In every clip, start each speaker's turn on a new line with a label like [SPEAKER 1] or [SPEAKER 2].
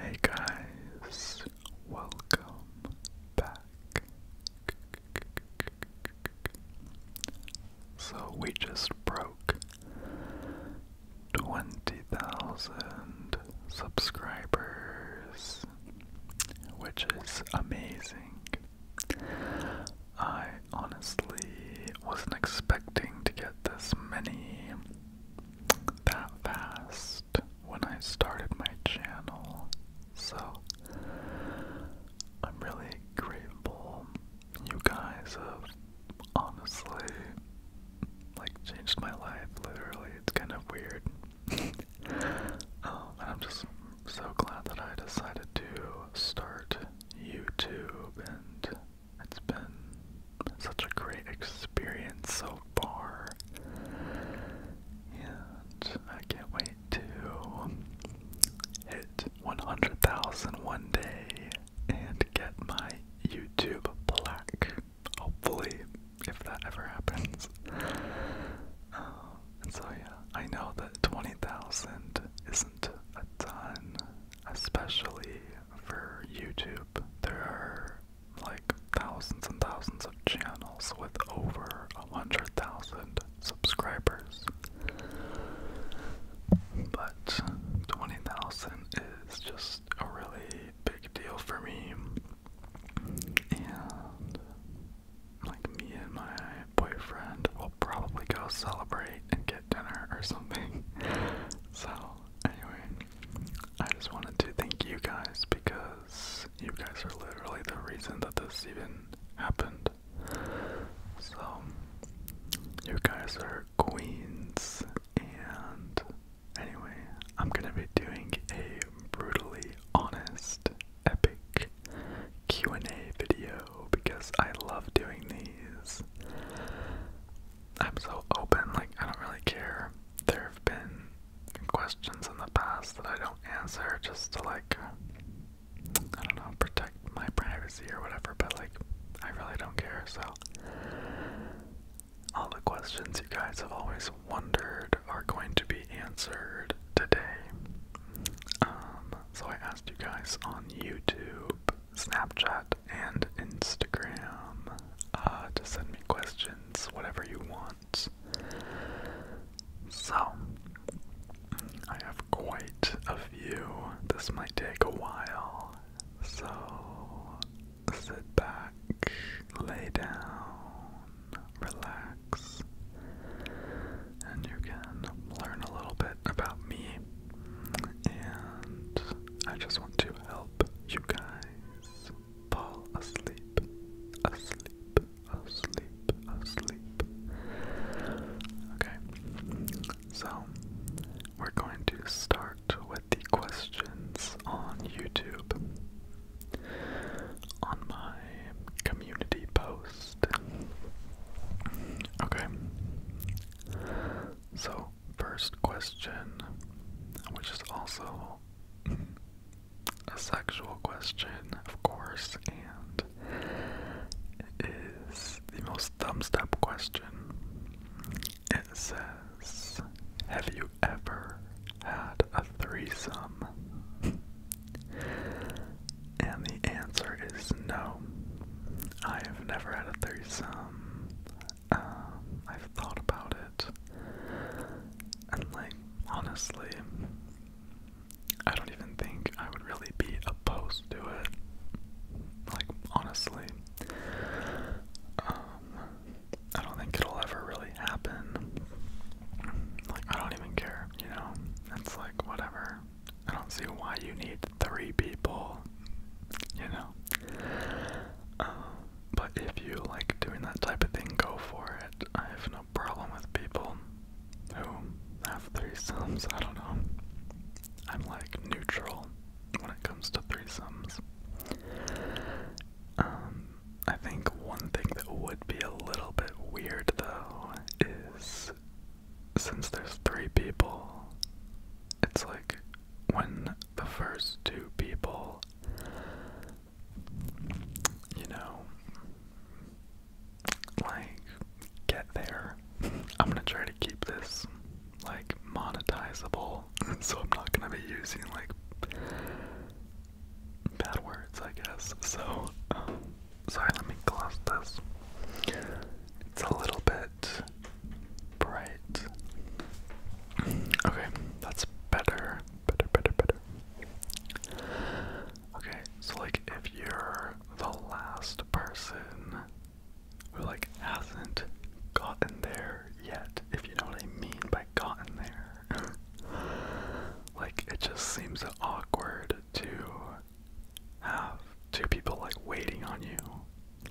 [SPEAKER 1] Hey guys, welcome back. So we just broke 20,000 subscribers which is amazing. I honestly wasn't expecting to get this many that fast when I started my channel, so I'm really grateful. You guys have honestly like changed my life, literally. It's kind of weird, Oh, I'm just so glad that I decided to start YouTube, and it's been such a great experience so far. And I can't wait to hit 100,000 one day and get my YouTube plaque hopefully, if that ever happens. Um, and so, yeah, I know that 20,000 isn't a ton, especially for YouTube. There are like thousands and thousands of channels with over 100,000 subscribers. But 20,000 is just a really big deal for me. And like me and my boyfriend will probably go celebrate and get dinner or something. so anyway, I just wanted to thank you guys because you guys are literally the reason that this even happened. So you guys are queens and anyway, I'm gonna be doing a brutally honest, epic Q&A video because I love doing these. I'm so open, like I don't really care. There have been questions in the past that I don't answer just to like uh, I don't know, protect my privacy or whatever, but like I really don't care, so all the questions you guys have always always wondered are going to be answered today. Um, so I asked you guys on YouTube, Snapchat, and Instagram uh, to send me questions, whatever you want. So, I have quite a few. This might take a while. So, sit back, lay down, relax and you can learn a little bit about me. And I just want to help you guys fall asleep, asleep, asleep, asleep. Okay, so we're going to start with the questions on YouTube on my community post. Okay. So, first question, which is also a sexual question, of course, and is the most thumbs up question. It says, Have you ever had a threesome? and the answer is no. I have never had a threesome. Um, I've thought about it. And, like, honestly, I don't even think I would really be opposed to it. Like, honestly. Um, I don't think it'll ever really happen. Like, I don't even care, you know? It's like, whatever. I don't see why you need three people, you know? Um, but if you like doing that type of thing, go for it. I have no problem with people who have three sums. I don't know. I'm like neutral when it comes to threesomes. Um, I think one thing that would be a little bit weird though is since there's three people, it's like when the first two people, you know, like get there. I'm gonna try to keep this like monetizable, so I'm not gonna be using like bad words, I guess. So, um, sorry, let me gloss this. It's a little bit bright. Okay, that's better. Better, better, better. Okay, so like if you're the last person who like hasn't gotten there yet, if you know what I mean by gotten there, like it just seems awkward to have two people like waiting on you.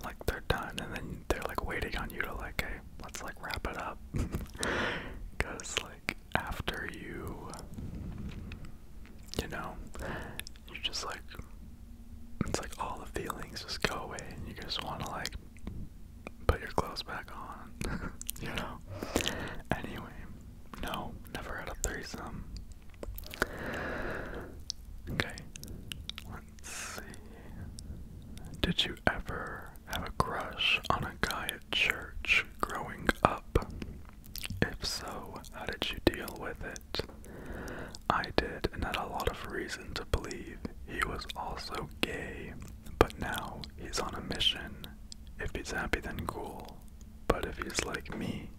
[SPEAKER 1] Like they're done and then they're like waiting on you to like, hey, let's like wrap it up. Cause like after you you know, you just like it's like all the feelings just go away and you just wanna like put your clothes back on. you know. Anyway, no, never had a threesome. Okay, let's see. Did you ever have a crush on a guy at church growing up? If so, how did you deal with it? I did, and had a lot of reason to believe he was also gay, but now he's on a mission if he's happy, then cool. But if he's like me,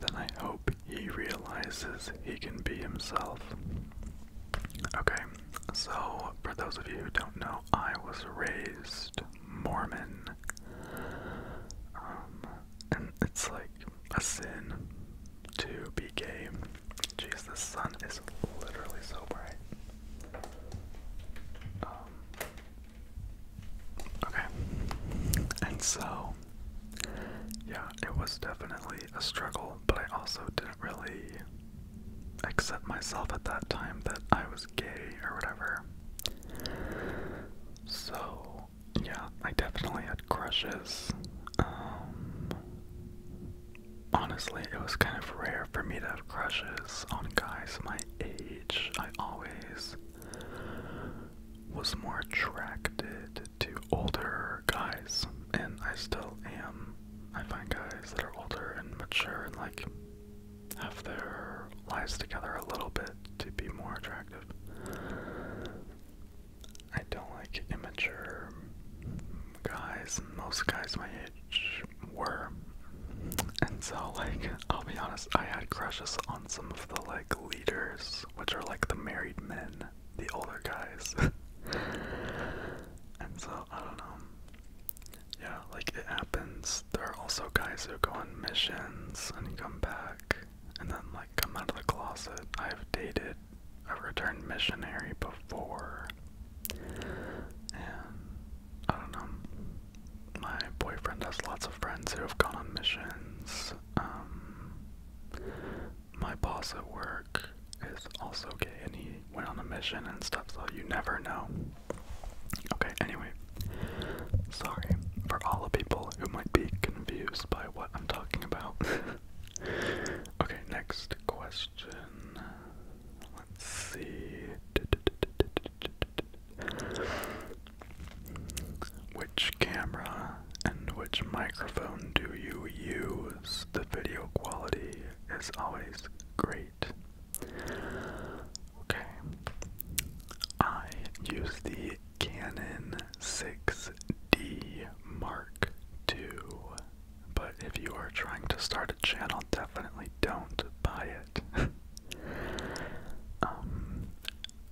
[SPEAKER 1] then I hope he realizes he can be himself. Okay, so for those of you who don't know, I was raised Mormon. Um, and it's like a sin
[SPEAKER 2] to be gay. Jesus, the sun is literally so bright. Um, okay. And so, yeah, it was definitely a struggle, but I also didn't really accept myself at that time that I was gay or whatever. So, yeah, I definitely had crushes. Um, honestly,
[SPEAKER 1] it was kind of rare for me to have crushes on guys my age. I always was more attracted to older guys, and I still am. I find guys that are older and mature and like have their lives together a little bit to be more attractive. I don't like immature guys, most guys my age were. And so, like, I'll be honest, I had crushes on some of the, like, leaders, which are, like, the married men, the older guys. and so, I don't know. Yeah, like, it happens. There are also guys who go on missions and come back, and then, like, come out of the closet. I've dated a returned missionary before. And I don't know. My boyfriend has lots of friends who have gone on missions. Um, my boss at work is also gay and he went on a mission and stuff, so you never know. Okay, anyway. Sorry for all the people who might be confused by what I'm talking about. okay, next question. Let's see. Which camera and which microphone do you use? The video quality is always great. Okay. I use the Canon 6D Mark II but if you are trying to start a channel, definitely don't buy it. um,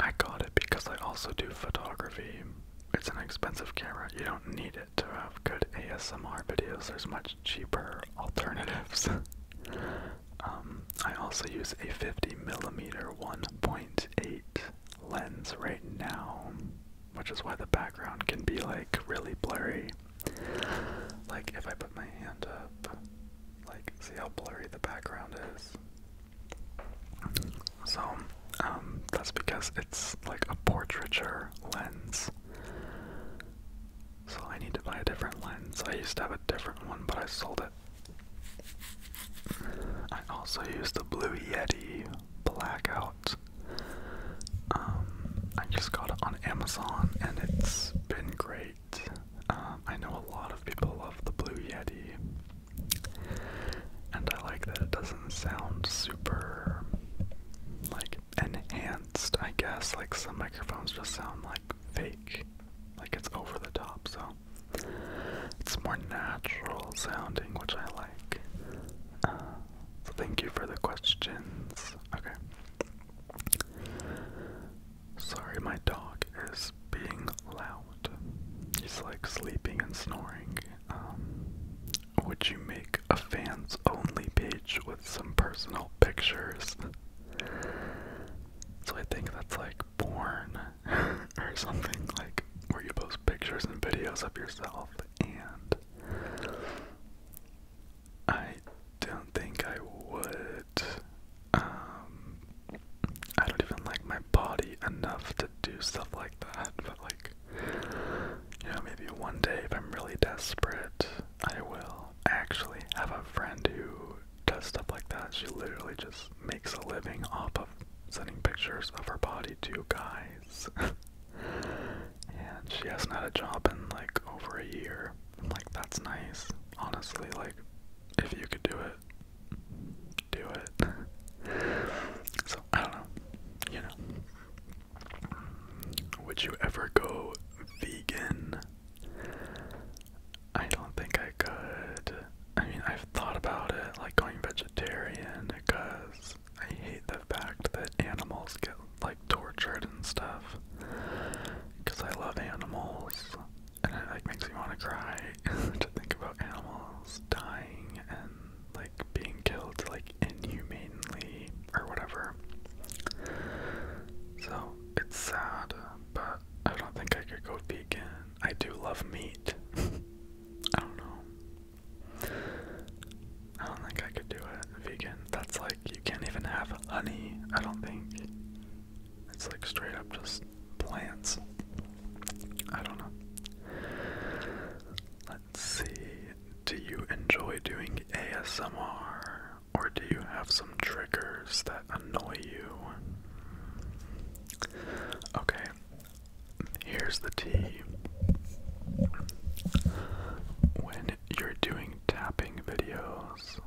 [SPEAKER 1] I got it because I also do photography. It's an expensive camera. You don't need it to have good ASMR videos. There's much cheaper alternatives. um, I also use a 50mm 1.8 lens right now, which is why the background can be like really blurry. Like if I put my hand up, like see how blurry the background is. So, um, that's because it's like a portraiture lens. So I need to buy a different lens. I used to have a different one, but I sold it. I also use the Blue Yeti Blackout. Um, I just got it on Amazon and it's been great.
[SPEAKER 2] Um, I know a lot of people love the Blue Yeti, and I like that it doesn't sound super like enhanced, I guess.
[SPEAKER 1] Like some microphones just sound like fake, like it's over the top, so it's more natural sounding, which I like. Uh, so thank you for the questions. Okay. Sorry, my dog is being loud. He's like sleeping and snoring. Um, would you make a fans only page with some personal pictures? So I think that's like porn or something like where you post pictures and videos of yourself and I don't think I would. Um, I don't even like my body enough to do stuff like that, but like, you know, maybe one day if I'm really desperate, I will. I actually have a friend who does stuff like that. She literally just makes a living off of sending pictures of her body to guys. and she hasn't had a job in like over a year. I'm like, that's nice. Honestly, like, if you could do it, do it. so, I don't know. You know. Would you ever go vegan? I don't think I could. I mean, I've thought about it, like going vegetarian, because I hate the fact that animals get like tortured and stuff because I love animals and it like makes me want to cry to think about animals dying and like being killed like inhumanely or whatever. So it's sad, but I don't think I could go vegan. I do love meat. I don't know. I don't think I could do it vegan. That's like you can't even have honey, I don't think. It's like straight up just plants. I don't know. Let's see. Do you enjoy doing ASMR or do you have some triggers that annoy you? Okay. Here's the tea. When you're doing tapping videos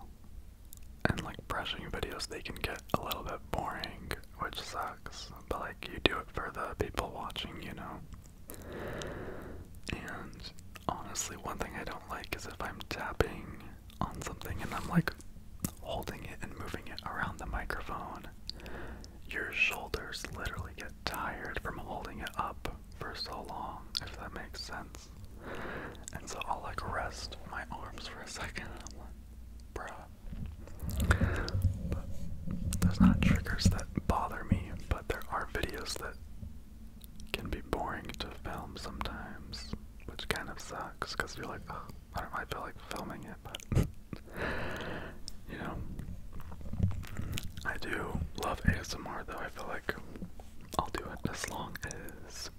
[SPEAKER 1] and like brushing videos, they can get a little bit boring, which sucks. But like, you do it for the people watching, you know? And honestly, one thing I don't like is if I'm tapping on something and I'm like holding it and moving it around the microphone, your shoulders literally get tired from holding it up for so long, if that makes sense. And so I'll like rest my arms for a second and there's not triggers that bother me, but there are videos that can be boring to film sometimes, which kind of sucks because you're like, I don't I feel like filming it, but you know, I do love ASMR though. I feel like I'll do it as long as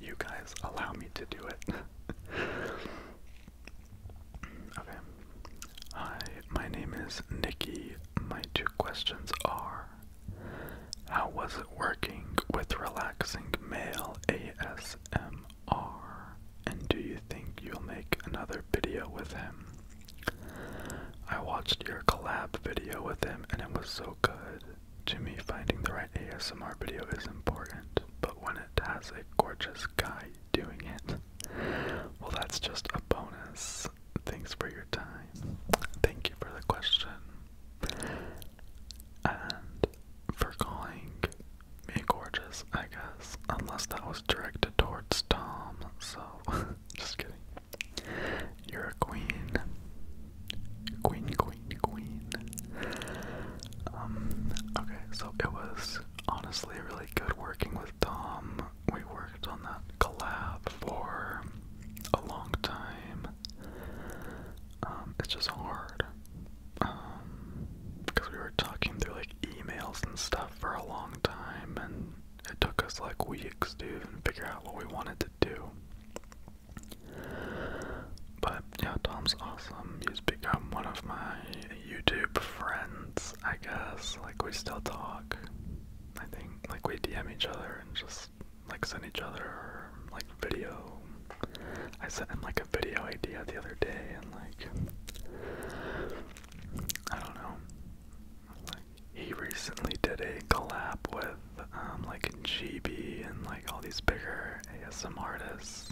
[SPEAKER 1] you guys allow me to do it. okay. Hi, my name is Nikki. My two questions are How was it working with relaxing male ASMR? And do you think you'll make another video with him? I watched your collab video with him and it was so good to me, finding the right ASMR video is important, but when it has a gorgeous guy doing it, well, that's just a bonus. Thanks for your time. Thank you for the question. And for calling me gorgeous, I guess. Unless that was directed towards Tom, so just kidding. You're a queen. Queen, queen, queen. Um, okay, so it was honestly really good working with Tom. We worked on that collab for a long time. Um, it's just hard. Um, because we were talking through like emails and stuff for a long time, and it took us like weeks to figure out what we wanted to do. But yeah, Tom's awesome. He's become one of my YouTube friends, I guess. Like we still talk. I think like we DM each other and just like send each other like video. I sent him like a video idea the other day and like I don't know
[SPEAKER 2] he recently did a collab with um, like GB
[SPEAKER 1] and like all these bigger ASM artists.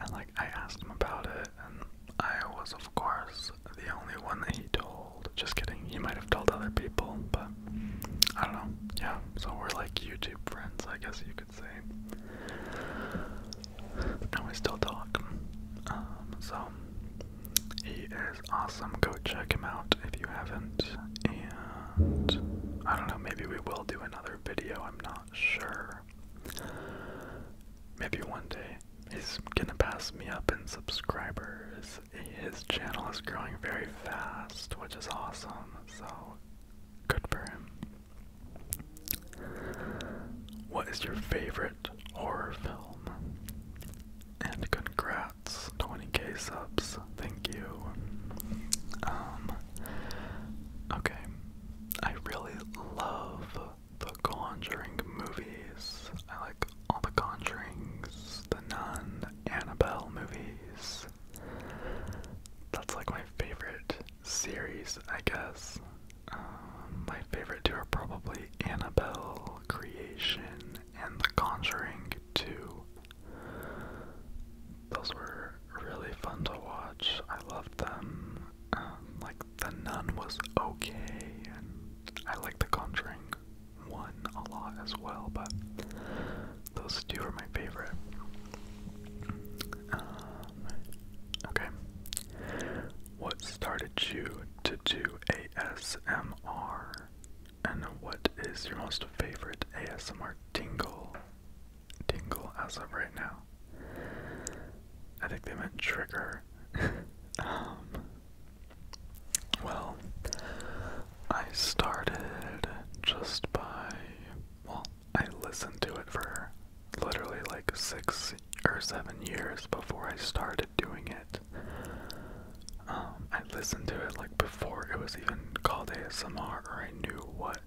[SPEAKER 1] And like I asked him about it, and I was of course the only one that he told. Just kidding, he might have told other people, but I don't know. Yeah, so we're like YouTube friends, I guess you could say. And we still talk. Um, so he is awesome. Go check him out if you haven't. And I don't know, maybe we will do another video. I'm not sure. Maybe one day. He's gonna pass me up in subscribers. His channel is growing very fast, which is awesome. So good for him. What is your favorite horror film? And congrats. 20k subs, thank you. Um, okay, I really love the Conjuring movies. I like all the Conjurings, the Nun, Annabelle movies. That's like my favorite series, I guess. Um, my favorite two are probably Annabelle, Creation, and The Conjuring 2. Those were really fun to watch. I loved them. Um, like, The Nun was okay, and I liked The Conjuring 1 a lot as well, but those two were my favorite. Um, okay. What started you to do ASMR? And what is your most favorite ASMR tingle? Tingle as of right now. I think they meant trigger. Um, well, I started just by, well, I listened to it for literally like six or seven years before I started doing it. Um, I listened to it like before it was even called ASMR or I knew what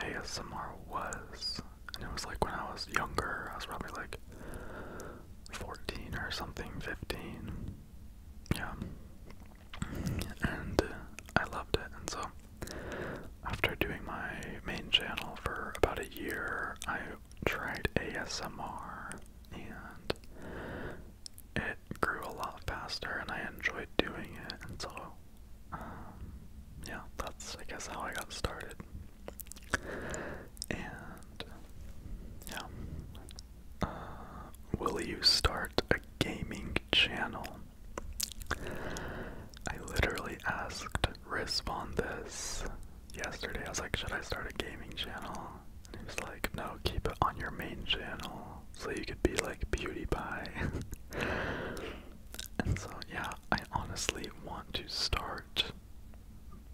[SPEAKER 1] ASMR was. And it was like when I was younger, I was probably like 14 or something, 15. Yeah. And uh, I loved it. And so after doing my main channel for about a year, I tried ASMR and it grew a lot faster and I enjoyed doing it, and so, um, yeah, that's, I guess, how I got started. And, yeah. Uh, will you start a gaming channel? I literally asked Riz this yesterday. I was like, should I start a gaming channel? And he was like, no, keep it on your main channel so you could be like beauty PewDiePie. and so, yeah, I honestly want to start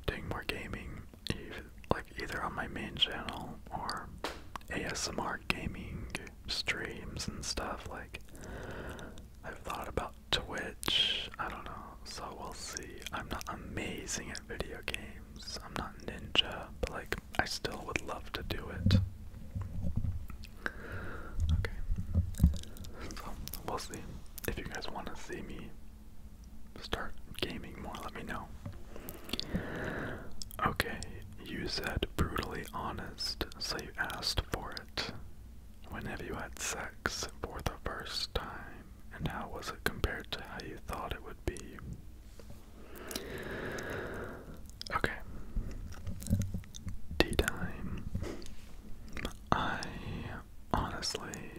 [SPEAKER 1] doing more gaming, like either on my main channel or ASMR gaming streams and stuff. Like, I've thought about Twitch. I don't know, so we'll see. I'm not amazing at video games. I'm not ninja, but like I still would love to do it. Okay. So we'll see. If you guys want to see me start gaming more, let me know. Okay, you said brutally honest, so you asked for it. When have you had sex for the first time, and how was it compared to how you thought it would be? Okay. Tea time. I honestly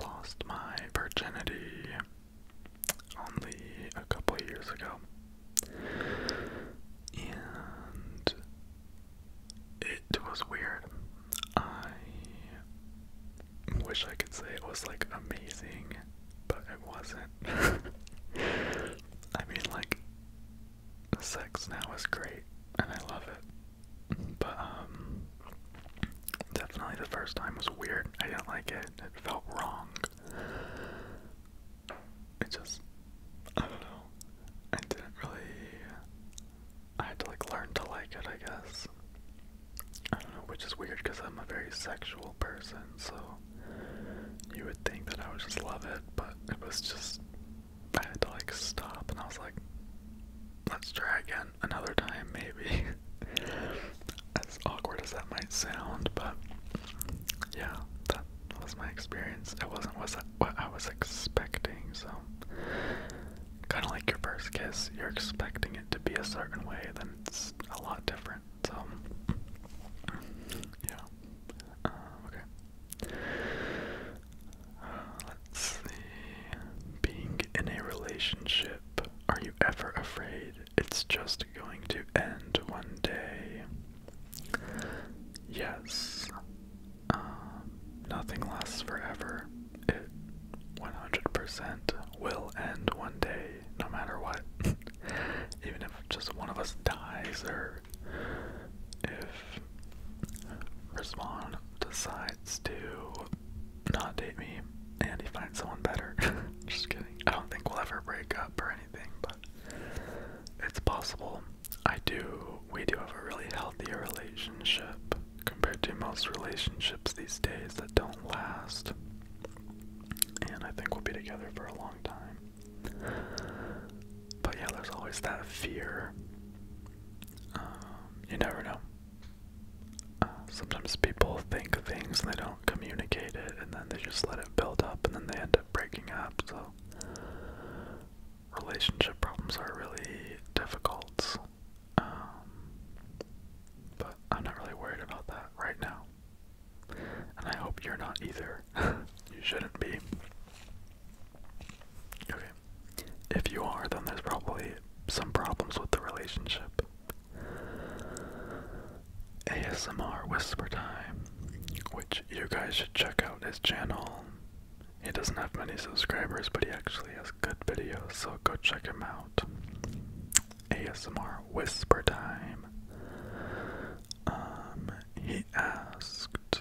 [SPEAKER 1] lost my virginity only a couple years ago. And it was weird. I wish I could say it was like amazing, but it wasn't. I mean, like, sex now is great and I love it, but um, definitely the first time was weird. I didn't like it, it felt wrong. It just, I don't know, I didn't really. I had to like learn to like it, I guess. I don't know, which is weird because I'm a very sexual person, so you would think that I would just love it, but it was just, I had to like stop and I was like, let's try again another time, maybe. as awkward as that might sound, but yeah, that was my experience. It wasn't what I was expecting, so kind of like your first kiss, you're expecting it to be a certain way, then it's a lot different different. yeah. Um, okay. Uh, let's see. Being in a relationship, are you ever afraid it's just going to end one day? Yes. Um, nothing lasts forever. It 100% will end one day no matter what. Even if just one of us dies or if respond decides to not date me and he finds someone better. just kidding. I don't think we'll ever break up or anything, but it's possible. I do we do have a really healthy relationship compared to most relationships these days that don't last and I think we'll be together for a long time. But yeah, there's always that fear. Um, you never know. Uh, sometimes people think things and they don't communicate it, and then they just let it build up, and then they end up breaking up. So, relationship problems are really difficult. Um, but I'm not really worried about that right now. And I hope you're not either. you shouldn't be. Okay. If you are, then there's probably some problems with the relationship. ASMR Whisper Time, which you guys should check out his channel. He doesn't have many subscribers, but he actually has good videos, so go check him out. ASMR whisper time. Um, he asked,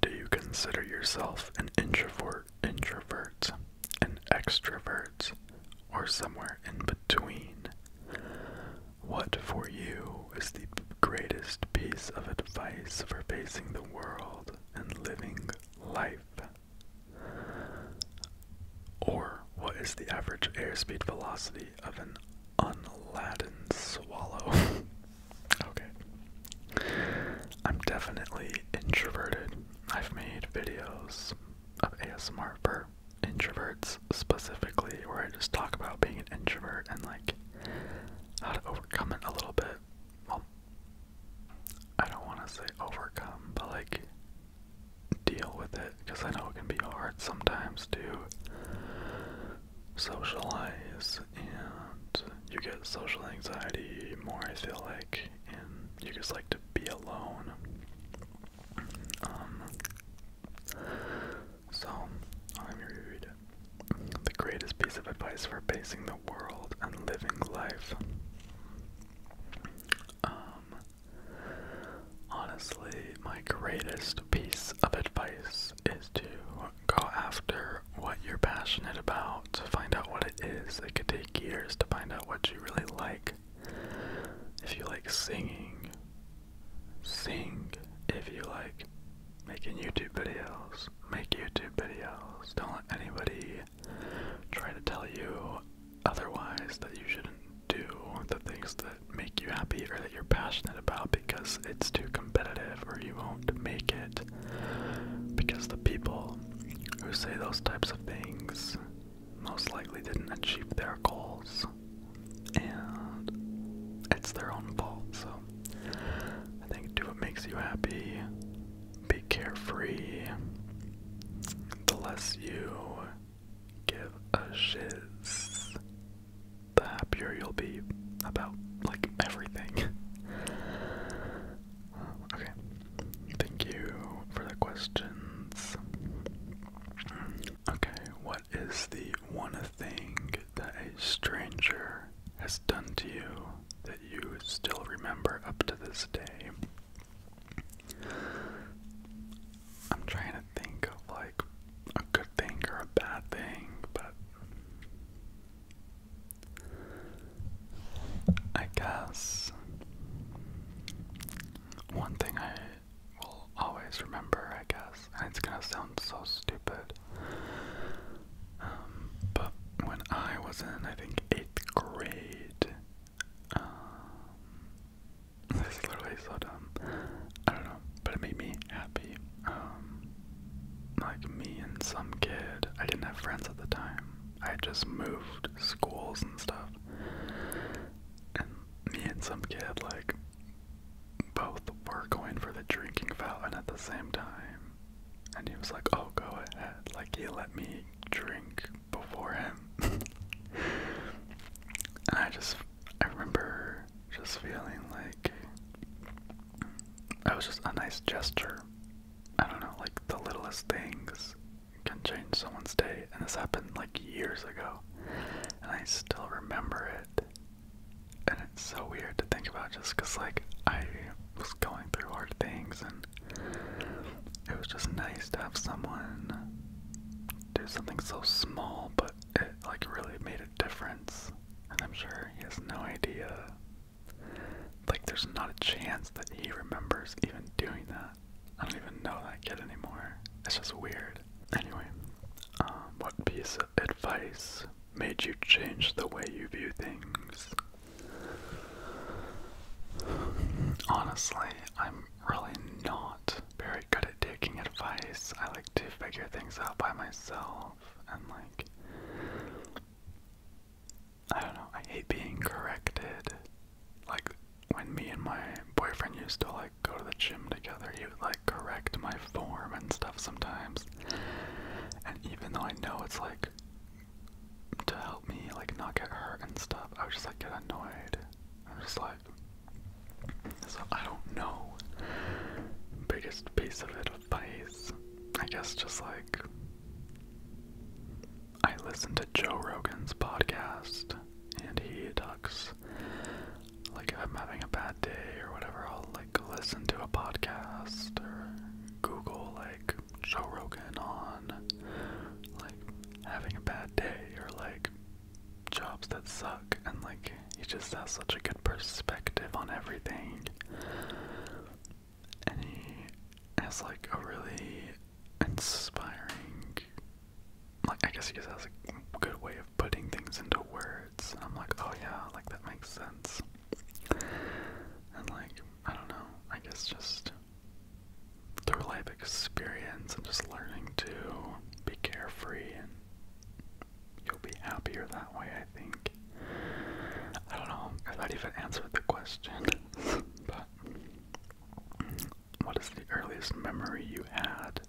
[SPEAKER 1] do you consider yourself an introvert, introvert, an extrovert, or somewhere in between? What for you is the greatest piece of advice for facing the world and living life? Or what is the average airspeed velocity of an unladen swallow? okay. I'm definitely introverted. I've made videos of ASMR for introverts specifically where I just talk about being an introvert and like how to overcome it a little bit. Well, I don't want to say overcome, but like deal with it because I know it can be hard sometimes to socialize and you get social anxiety more I feel like and you just like to be alone. Um so let me reread it. The greatest piece of advice for facing the world and living life. Um Honestly, my greatest piece of advice is to go after what you're passionate about, find out what it is. It could take years to find out what you really like. If you like singing, sing. If you like making YouTube videos, make YouTube videos. Don't let anybody try to tell you otherwise that you shouldn't do the things that make you happy or that you're passionate about because it's too competitive or you won't make it. Because the people who say those types of things most likely didn't achieve their goals and it's their own fault. So I think do what makes you happy, be carefree. The less you give a shiz, the happier you'll be about like everything. okay, thank you for the questions. Okay, what is the one thing that a stranger has done to you that you still remember up to this day? I'm trying to think of like a good thing or a bad thing, but I guess one thing I will always remember, I guess, and it's gonna sound so stupid. Um, but when I was in, I think, eighth grade, um, this is literally so dumb. I don't know, but it made me happy. Um, like me and some kid, I didn't have friends at the time. I just moved schools and stuff. And me and some kid, like, both were going for the drinking fountain at the same time. And he was like, oh, go ahead. Like, he let me drink before him. and I just, I remember just feeling like that was just a nice gesture. I don't know, like the littlest things can change someone's day. And this happened like years ago. And I still remember it. And it's so weird to think about just because, like, I was going through hard things and it was just nice to have someone do something so small, but it like really made a difference. And I'm sure he has no idea. Like, there's not a chance that he remembers even doing that. I don't even know that kid anymore. It's just weird. Anyway, um, what piece of advice made you change the way you view things? Honestly, I'm really not very good at taking advice. I like to figure things out by myself and like I don't know, I hate being corrected. Like when me and my boyfriend used to like go to the gym together, he would like correct my form and stuff sometimes. And even though I know it's like to help me like not get hurt and stuff. I would just like get annoyed. I'm just like, so I don't know. Biggest piece of advice, I guess, just like I listen to Joe Rogan's podcast, and he talks like I'm having a bad day or whatever, I'll like listen to a podcast or Google like Joe Rogan on like having a bad day or like jobs that suck and like he just has such a good perspective on everything and he has like a really inspiring like I guess he just has a good way of putting things into words and I'm like oh yeah like that makes sense and like I don't know I guess just through life experience and just learning to be carefree and
[SPEAKER 2] you'll be happier that way, I think. I don't know I thought that even answered the
[SPEAKER 1] question, but what is the earliest memory you had?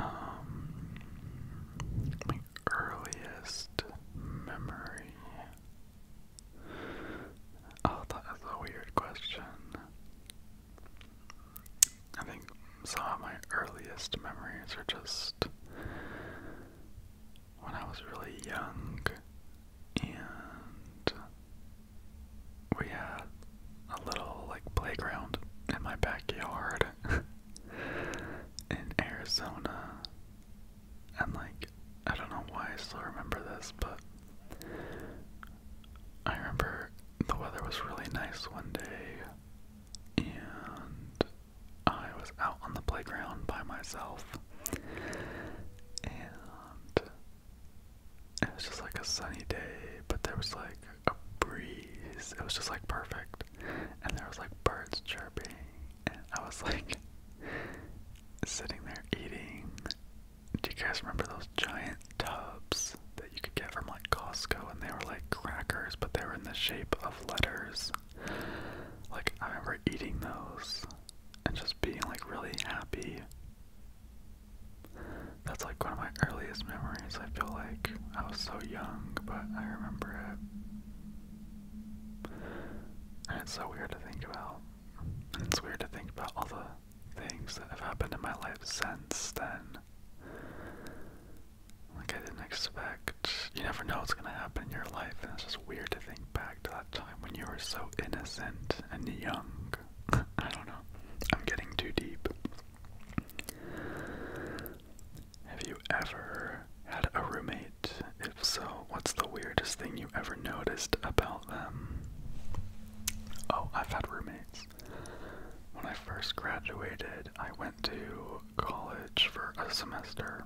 [SPEAKER 1] Um, my earliest memory. Oh, that is a weird question. I think some of my earliest memories are just when I was really young and we had a little like playground in my backyard in Arizona. And like I don't know why I still remember this, but I remember the weather was really nice one day, and I was out on the playground by myself, and it was just like a sunny day, but there was like a breeze. It was just like perfect, and there was like birds chirping, and I was like sitting there eating do you guys remember those giant tubs that you could get from like Costco and they were like crackers but they were in the shape of letters? Like I remember eating those and just being like really happy. That's like one of my earliest memories. I feel like I was so young, but I remember it. And it's so weird to think about. And it's weird to think about all the things that have happened in my life since then. Like I didn't expect. You never know what's gonna happen in your life, and it's just weird to think back to that time when you were so innocent and young.
[SPEAKER 2] I don't know. I'm getting too deep. Have you ever had a
[SPEAKER 1] roommate? If so, what's the weirdest thing you ever noticed about? about Oh, I've had roommates. When I first graduated, I went to college for a semester,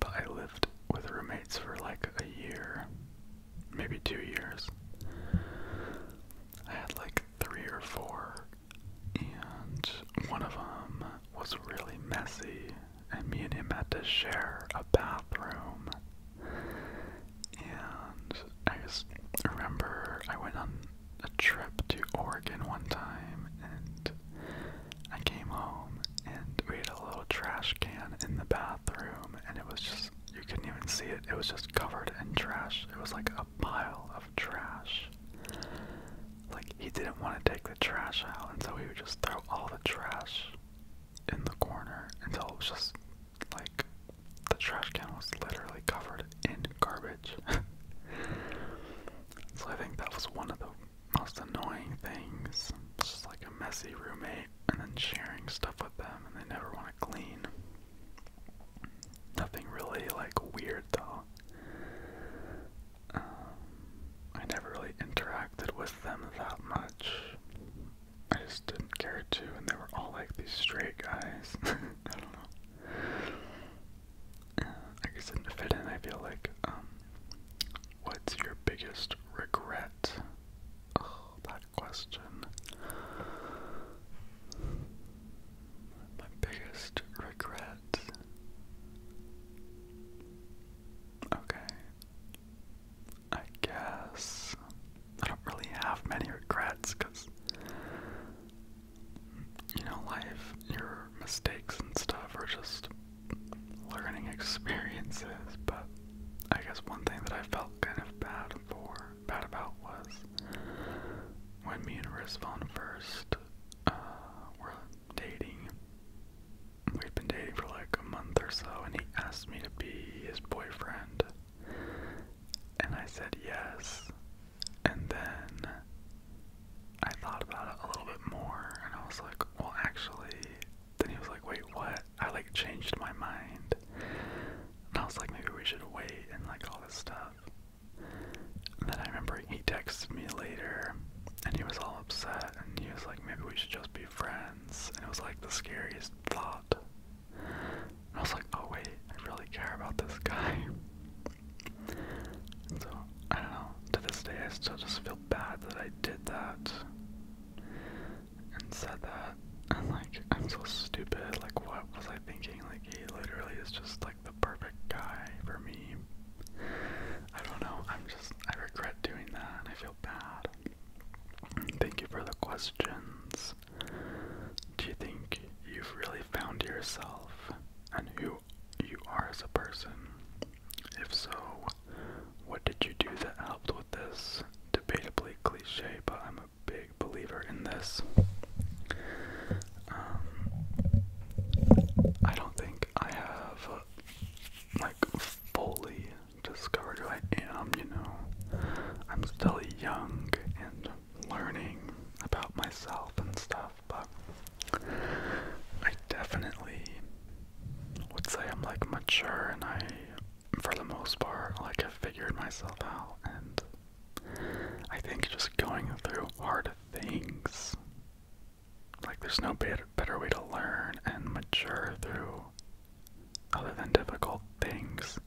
[SPEAKER 1] but I lived with roommates for like a year, maybe two years. I had like three or four, and one of them was really messy, and me and him had to share a bathroom and I just remember I went on a trip to Oregon one time and I came home and we had a little trash can in the bathroom and it was just you couldn't even see it. It was just covered in trash. It was like a pile of trash. Like he didn't want to take the trash out and so he would just throw all the trash in the corner until it was just like the trash can was literally covered in garbage. so I think that was one of the most annoying things. just like a messy roommate and then sharing stuff with them and they never want to clean. Nothing really like weird though. Um, I never really interacted with them that much. I just didn't care to, and they were all like these straight guys. I don't know. Uh, I guess it fit in. I feel like. Um, what's your biggest regret? Oh, that question. My biggest regret. Okay. I guess I don't really have many regrets because you know, life, your mistakes and stuff are just learning experiences. But I guess one thing that I felt kind of bad for, bad about was when me and Rizvan first uh, were dating. We've been dating for like a month or so, and he asked me to be his boyfriend. And I said yes. And then I thought about it a little bit more and I was like, well, actually, then he was like, wait, what? I like changed my mind. And I was like, maybe we should wait and like all this stuff. then I remember he texted me later and he was all upset and he was like, maybe we should just be friends. And it was like the scariest thought I was like, oh wait, I really care about this guy. so, I don't know. To this day, I still just feel bad that I did that and said that. And like, I'm so stupid. Like, what was I thinking? Like, he literally is just like the perfect guy for me. I don't know. I'm just, I regret doing that and I feel bad. Thank you for the questions. Do you think you've really found yourself and who you are as a person? If so, what did you do that helped with this? Debatably cliche, but I'm a big believer in this. Um, I don't think I have like fully discovered who I am, you know. I'm still young and learning about myself and stuff, but I definitely would say I'm like mature and I, for the most part, like have figured myself out. And I think just going through hard things, like there's no better, better way to learn and mature through other than difficult things.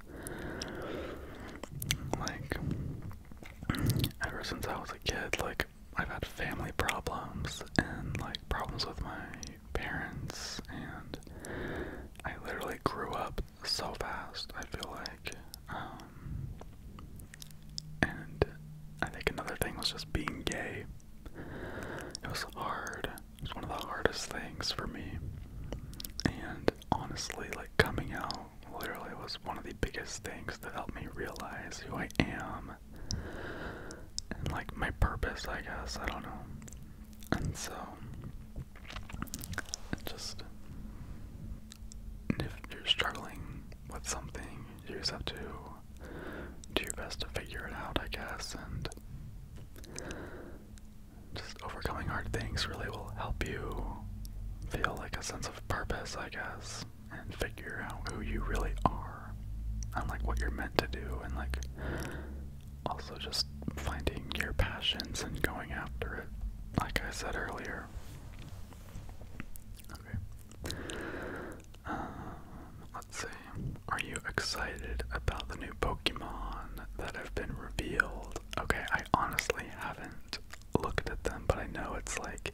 [SPEAKER 1] Like, ever since I was a kid, like, I've had family problems and, like, problems with my parents, and I literally grew up so fast, I feel like. Um, and I think another thing was just being gay.
[SPEAKER 2] It was hard it's one of the hardest things for me. And honestly, like coming out literally was one of the biggest things that helped me realize who I am and like my purpose, I guess. I
[SPEAKER 1] don't know. And so, just if you're struggling with something, you just have to do your best to figure it out, I guess. And just overcoming hard things really will help you feel like a sense of purpose, I guess, and figure out who you really are and like what you're meant to do and like also just finding your passions and going after it, like I said earlier. Okay. Uh, let's see. Are you excited about the new Pokemon? that have been revealed. Okay, I honestly haven't looked at them, but I know it's like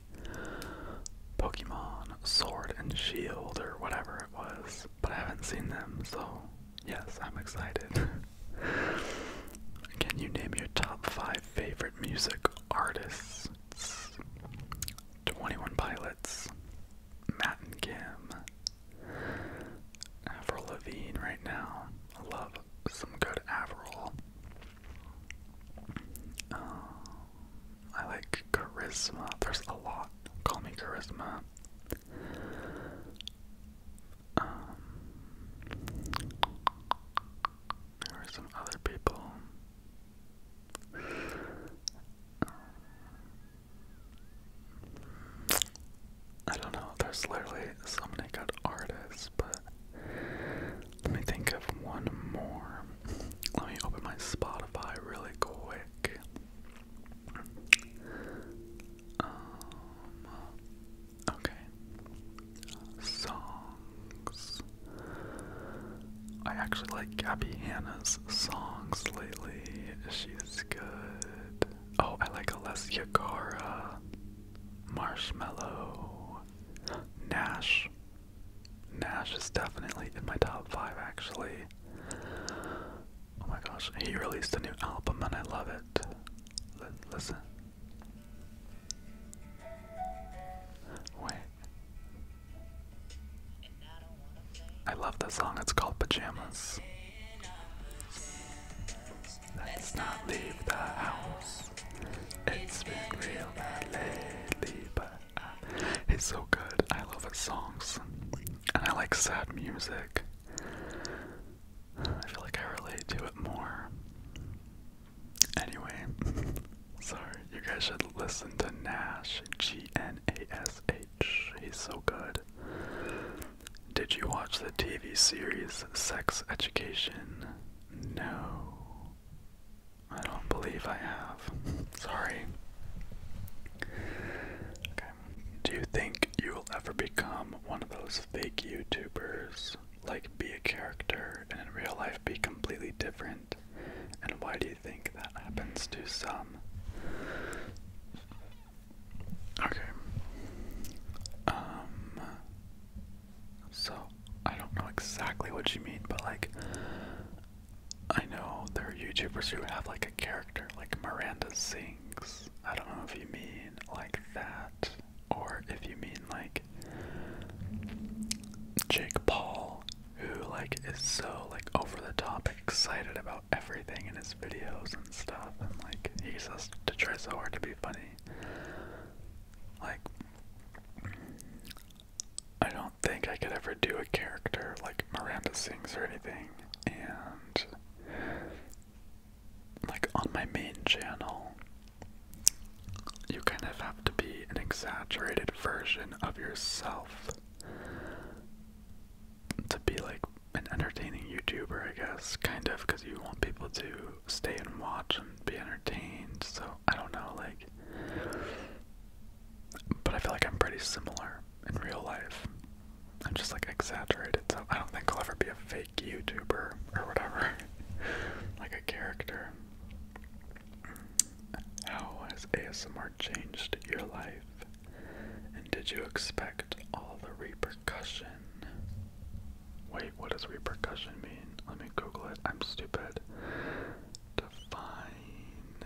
[SPEAKER 1] Pokemon Sword and Shield or whatever it was, but I haven't seen them, so yes, I'm excited. Can you name your top five favorite music artists? 21 Pilots, Matt and Kim, Avril Lavigne right now. I love some good Avril. Uh, I like Charisma. There's a lot. Call me Charisma. Um, there are some other people. Um, I don't know, there's literally so many good artists, but let me think of one more. Let me open my Spotify really quick. Um, okay. Songs. I actually like Gabby Hanna's songs lately. She's good. Oh, I like Alessia Cara, Marshmallow, Nash. Nash is definitely in my top five, actually. Oh my gosh, he released a new album and I love it. listen. Wait. I love the song. It's called Pajamas. Let's not leave the house. It's been real bad lately, but uh, it's so good. I love his songs, and I like sad music. I feel like I relate to it more. Anyway, sorry, you guys should listen to Nash, G N A S H. He's so good. Did you watch the TV series Sex Education? No. I don't believe I have. Sorry. Okay. Do you
[SPEAKER 2] think you will ever become one of those fake YouTubers? Like, be a character and in real life be completely different? And why do you think that happens to some? Okay. Um so I don't know exactly what you mean, but like I know there are YouTubers who have like a character like Miranda Sings. I don't know if you
[SPEAKER 1] mean like that or if you mean like Jake Paul who like is so like over the top excited about everything in his videos and stuff, and like he just to try so hard to be funny. Like, I don't think I could ever do a character like Miranda Sings or anything, and like on my main channel, you kind of have to be an exaggerated version of yourself to be like an entertaining YouTuber, I guess, kind of, because you want people to stay and watch and be entertained. So I don't know, like, but I feel like I'm pretty similar in real life. I'm just like exaggerated, so I don't think I'll ever be a fake YouTuber or whatever, like a character. How has ASMR changed your life? And did you expect all the repercussions? repercussion. Wait, what does repercussion mean? Let me Google it. I'm stupid. Define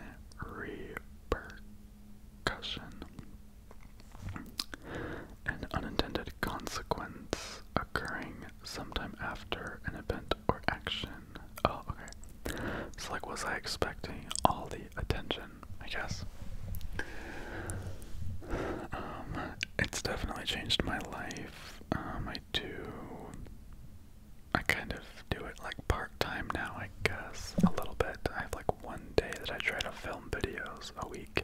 [SPEAKER 1] repercussion. An unintended consequence occurring sometime after an event or action. Oh, okay. So, like, was I expecting all the attention I guess. Um, it's definitely changed my life. Um, I do. I kind of do it like part time now, I guess, a little bit. I have like one day that I try to film videos a week.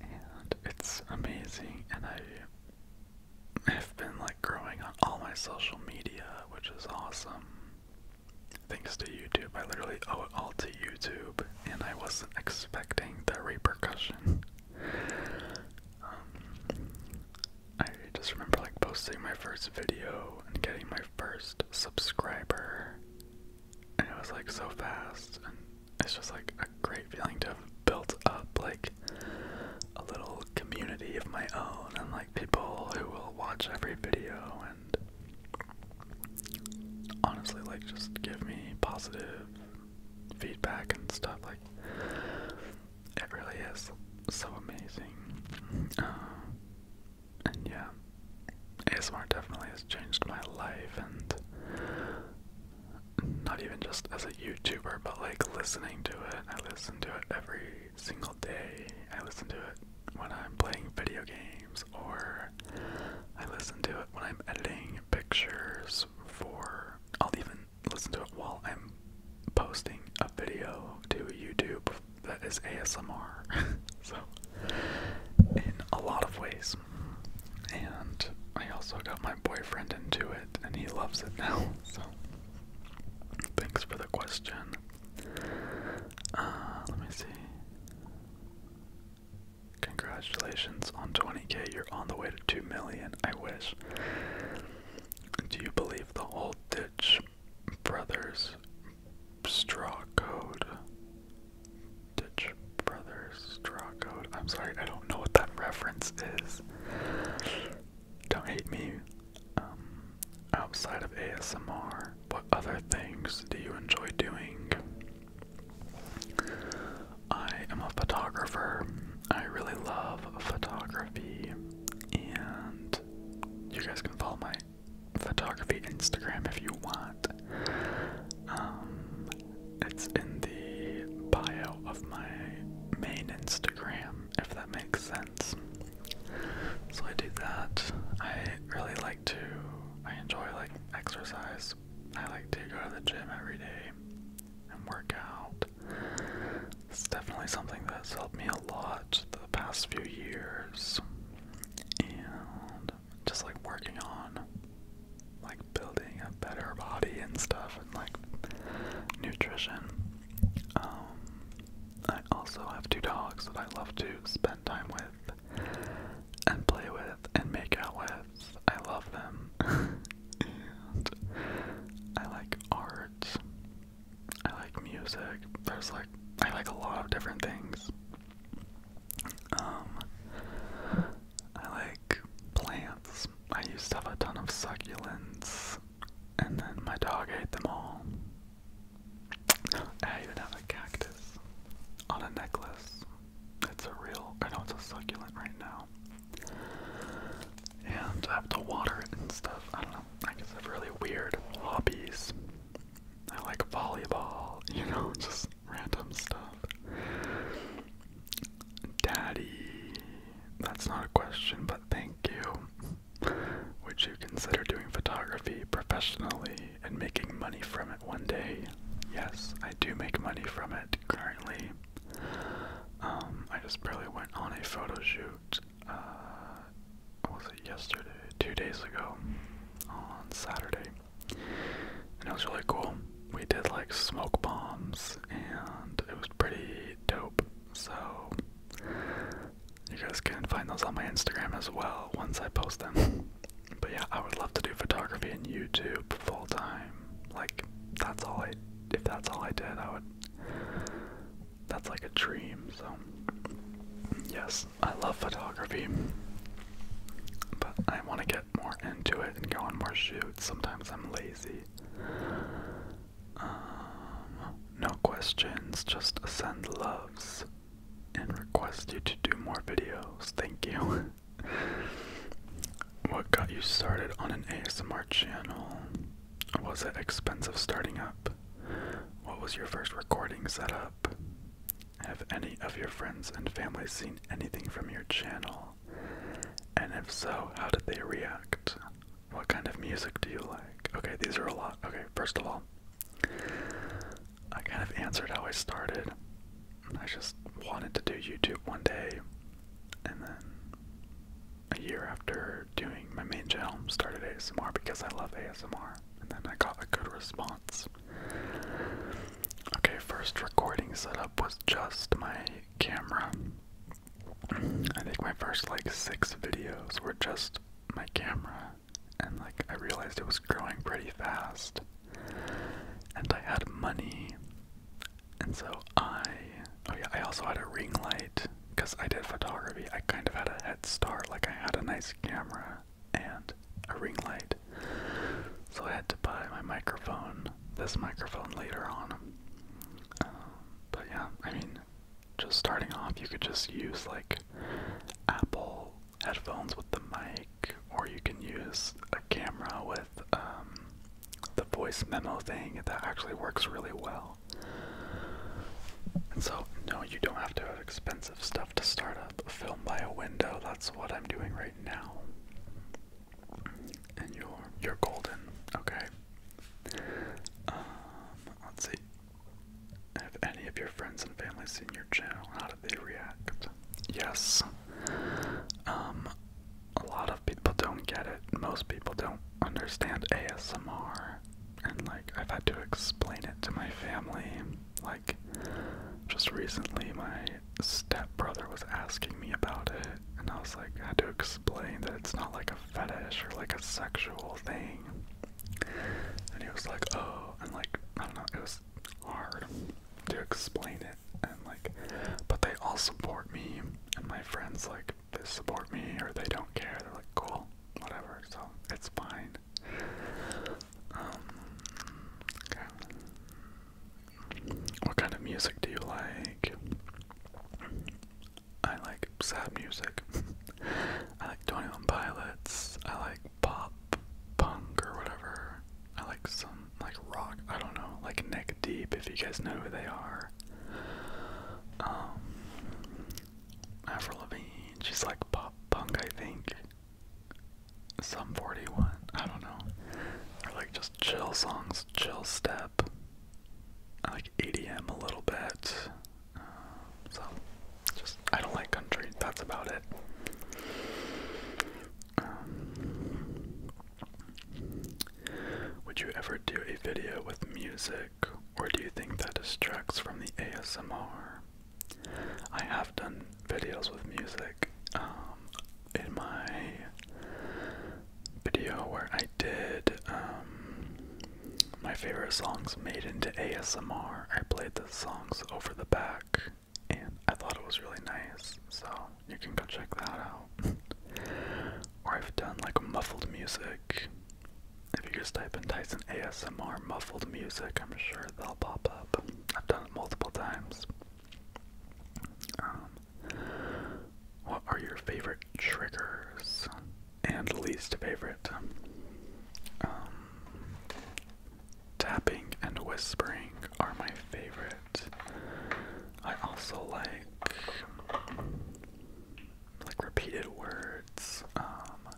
[SPEAKER 1] And it's amazing, and I have been like growing on all my social media, which is awesome. Thanks to YouTube, I literally owe it all to YouTube, and I wasn't expecting the repercussion. Um,
[SPEAKER 2] I just remember like posting my first video and getting my first subscriber, and it was like so fast, and it's just like a great feeling to have built up like a little community of my own and like people who will watch every video and honestly, like, just give me positive feedback and stuff. Like, it really is so
[SPEAKER 1] amazing. Uh, and yeah, ASMR definitely has changed my life, and not even just as a YouTuber, but like listening to it. I listen to it every single day. I listen to it when I'm playing video games or I listen to it when I'm editing pictures for I'll even listen to it while I'm posting a video to YouTube that is ASMR. so in a lot of ways. And I also got my boyfriend into it and he loves it now. So thanks for the question. Uh, let me see. Congratulations on 20k, you're on the way to 2 million. I wish. Do you believe the old Ditch Brothers straw code? Ditch Brothers straw code? I'm sorry, I don't know what that reference is. Don't hate me. Um, outside of ASMR, what other things do you enjoy doing? I am a photographer. I really love photography, and you guys can follow my photography Instagram if you want. Um, it's in the bio of my main Instagram, if that makes sense. So I do that. I really like to. I enjoy like exercise, I like to go to the gym every day and work out. It's definitely something that's helped me a lot the past few years. And just like working on like building a better body and stuff and like nutrition. Um, I also have two dogs that I love to spend time with and play with and make out with. I love them. I like art. I like music. There's like I like a lot of different things. Um I like plants. I used to have a ton of succulents and then my dog ate them all. I even have a cactus on a necklace. It's a real, I know it's a succulent right now. And I have to water it and stuff. I don't know. I guess I have really weird hobbies. I like volleyball, you know, just random stuff. Daddy, that's not a question, but thank you. Would you consider doing photography professionally? and making money from it one day. Yes, I do make money from it currently. Um, I just barely went on a photo shoot. Uh, was it yesterday? Two days ago, on Saturday, and it was really cool. We did like smoke bombs, and it was pretty dope. So you guys can find those on my Instagram as well once I post them. But yeah, I would love to do photography and YouTube full time. Like that's all I if that's all I did, I would that's like a dream, so yes, I love photography. But I wanna get more into it and go on more shoots. Sometimes I'm lazy. Um, no questions, just send loves and request you to do more videos. Thank you. what got you started on an ASMR channel? Was it expensive starting up? What was your first recording setup? Have any of your friends and family seen anything from your channel? And if so, how did they react? What kind of music do you like? Okay, these are a lot. Okay, first of all, I kind of answered how I started. I just wanted to do YouTube one day, and then a year after doing my main channel, started ASMR because I love ASMR, and then I got a good response. Okay, first recording setup was just my camera. I think my first like six videos were just my camera, and like I realized it was growing pretty fast and I had money, and so I oh yeah I also had a ring light because I did photography. I kind of had a head start, like I had a nice camera and a ring light, so I had to buy my microphone, this microphone later on. Um, but yeah, I mean, just starting off, you could just use like Apple headphones with the mic or you can use a camera with um, the voice memo thing that actually works really well. so, no, you don't have to have expensive stuff to start up. Film by a window, that's what I'm doing right now. And you're, you're golden, okay? Um, let's see. Have any of your friends and family seen your channel? they react? Yes. Um, a lot of people don't get it. Most people don't understand ASMR. And, like, I've had to explain it to my family. Like, just recently, my stepbrother was asking me about it. And I was like, I had to explain that it's not like a fetish or like a sexual thing. And he was like, oh, and like, I don't know, it was hard to explain it and like but they all support me and my friends like support me or they don't care they're like cool whatever so it's fine um, okay what kind of music do you like I like sad music I like 21 Pilots I like pop punk or whatever. I like some like rock. I don't know, like Neck Deep. If you guys know who they are. Um, Avril Lavigne. She's like pop punk, I think. Some 41. I don't
[SPEAKER 2] know. Or like just chill songs, chill step. I like EDM a little bit. Um, so, just I don't like country. That's
[SPEAKER 1] about it. Um, would you ever do a video with music, or do you think that distracts from the ASMR? I have done videos with music um, in my video where I did um, my favorite songs made into ASMR. I played the songs over the back and I thought it was really nice, so you can go check that out. or I've done like muffled music. If you just type in Tyson ASMR muffled music, I'm sure they'll pop up. I've done it multiple times. Um, what are your favorite triggers and least favorite? Um, Tapping and whispering are my favorite. I also like like repeated words. Um,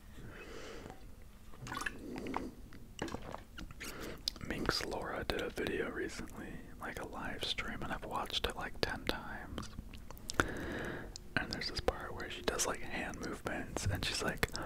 [SPEAKER 1] Minx Laura did a video recently, like a live stream, and I've watched it like ten times. And there's this part where she does like hand movements, and she's like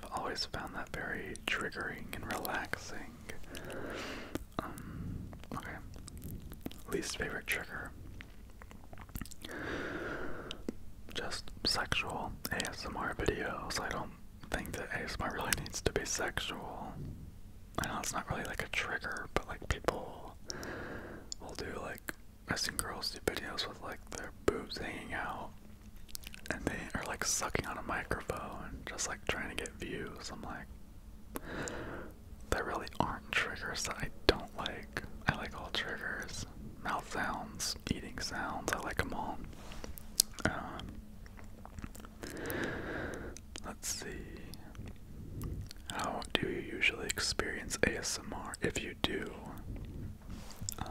[SPEAKER 1] I've always found that very triggering and relaxing. Um, okay. Least favorite trigger. Just sexual ASMR videos. I don't think that ASMR really needs to be sexual. I know it's not really like a trigger, but like people will do like I've seen girls do videos with like their boobs hanging out and they are like sucking on a microphone, just like trying to get views. I'm like, they really aren't triggers that I don't like. I like all triggers, mouth sounds, eating sounds. I like them all. Um, let's see. How do you usually experience ASMR? If you do, um,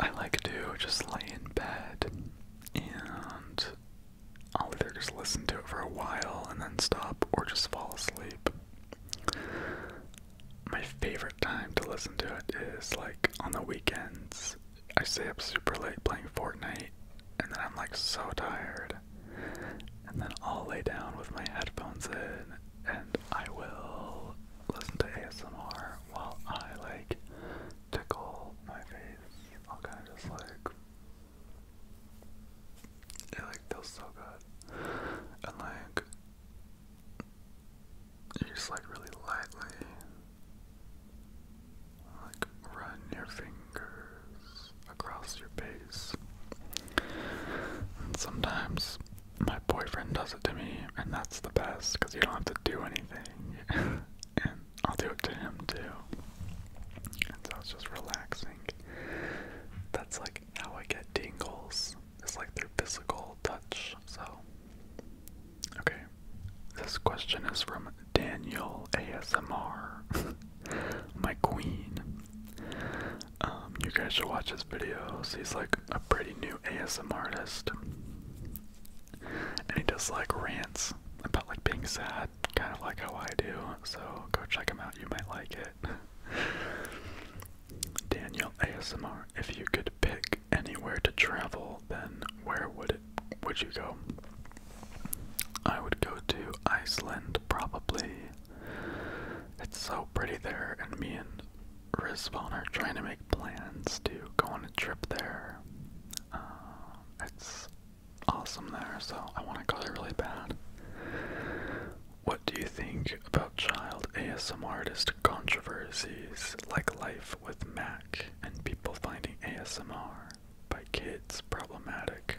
[SPEAKER 1] I like to just lay in bed and I'll either just listen to it for a while and then stop or just fall asleep. My favorite time to listen to it is like on the weekends. I stay up super late playing Fortnite and then I'm like so tired. And then I'll lay down with my headphones in and I will listen to ASMR while I like tickle my face. I'll kind of just like it like feels so good, and like just like really lightly like run your fingers across your face, and sometimes my boyfriend does it to me, and that's the best because you don't have to do anything, and I'll do it to him too. so it's just relaxing. That's like how I get tingles. It's like through physical touch. So, okay, this question is from Daniel ASMR,
[SPEAKER 2] my queen. Um, you guys should watch his videos. He's
[SPEAKER 1] like a pretty new ASMR artist. And he does like rants about like being sad, kind of like how I do. So go check him out, you might like it. Daniel ASMR, if you could pick anywhere to travel, then where would would you go? I would go to Iceland probably. It's so pretty there and me and Rizwan trying to make plans to go on a trip there. Um, it's awesome there, so I want to go there really bad. What do you think about child ASM artist controversies like Life with Mac and people finding ASMR by kids problematic?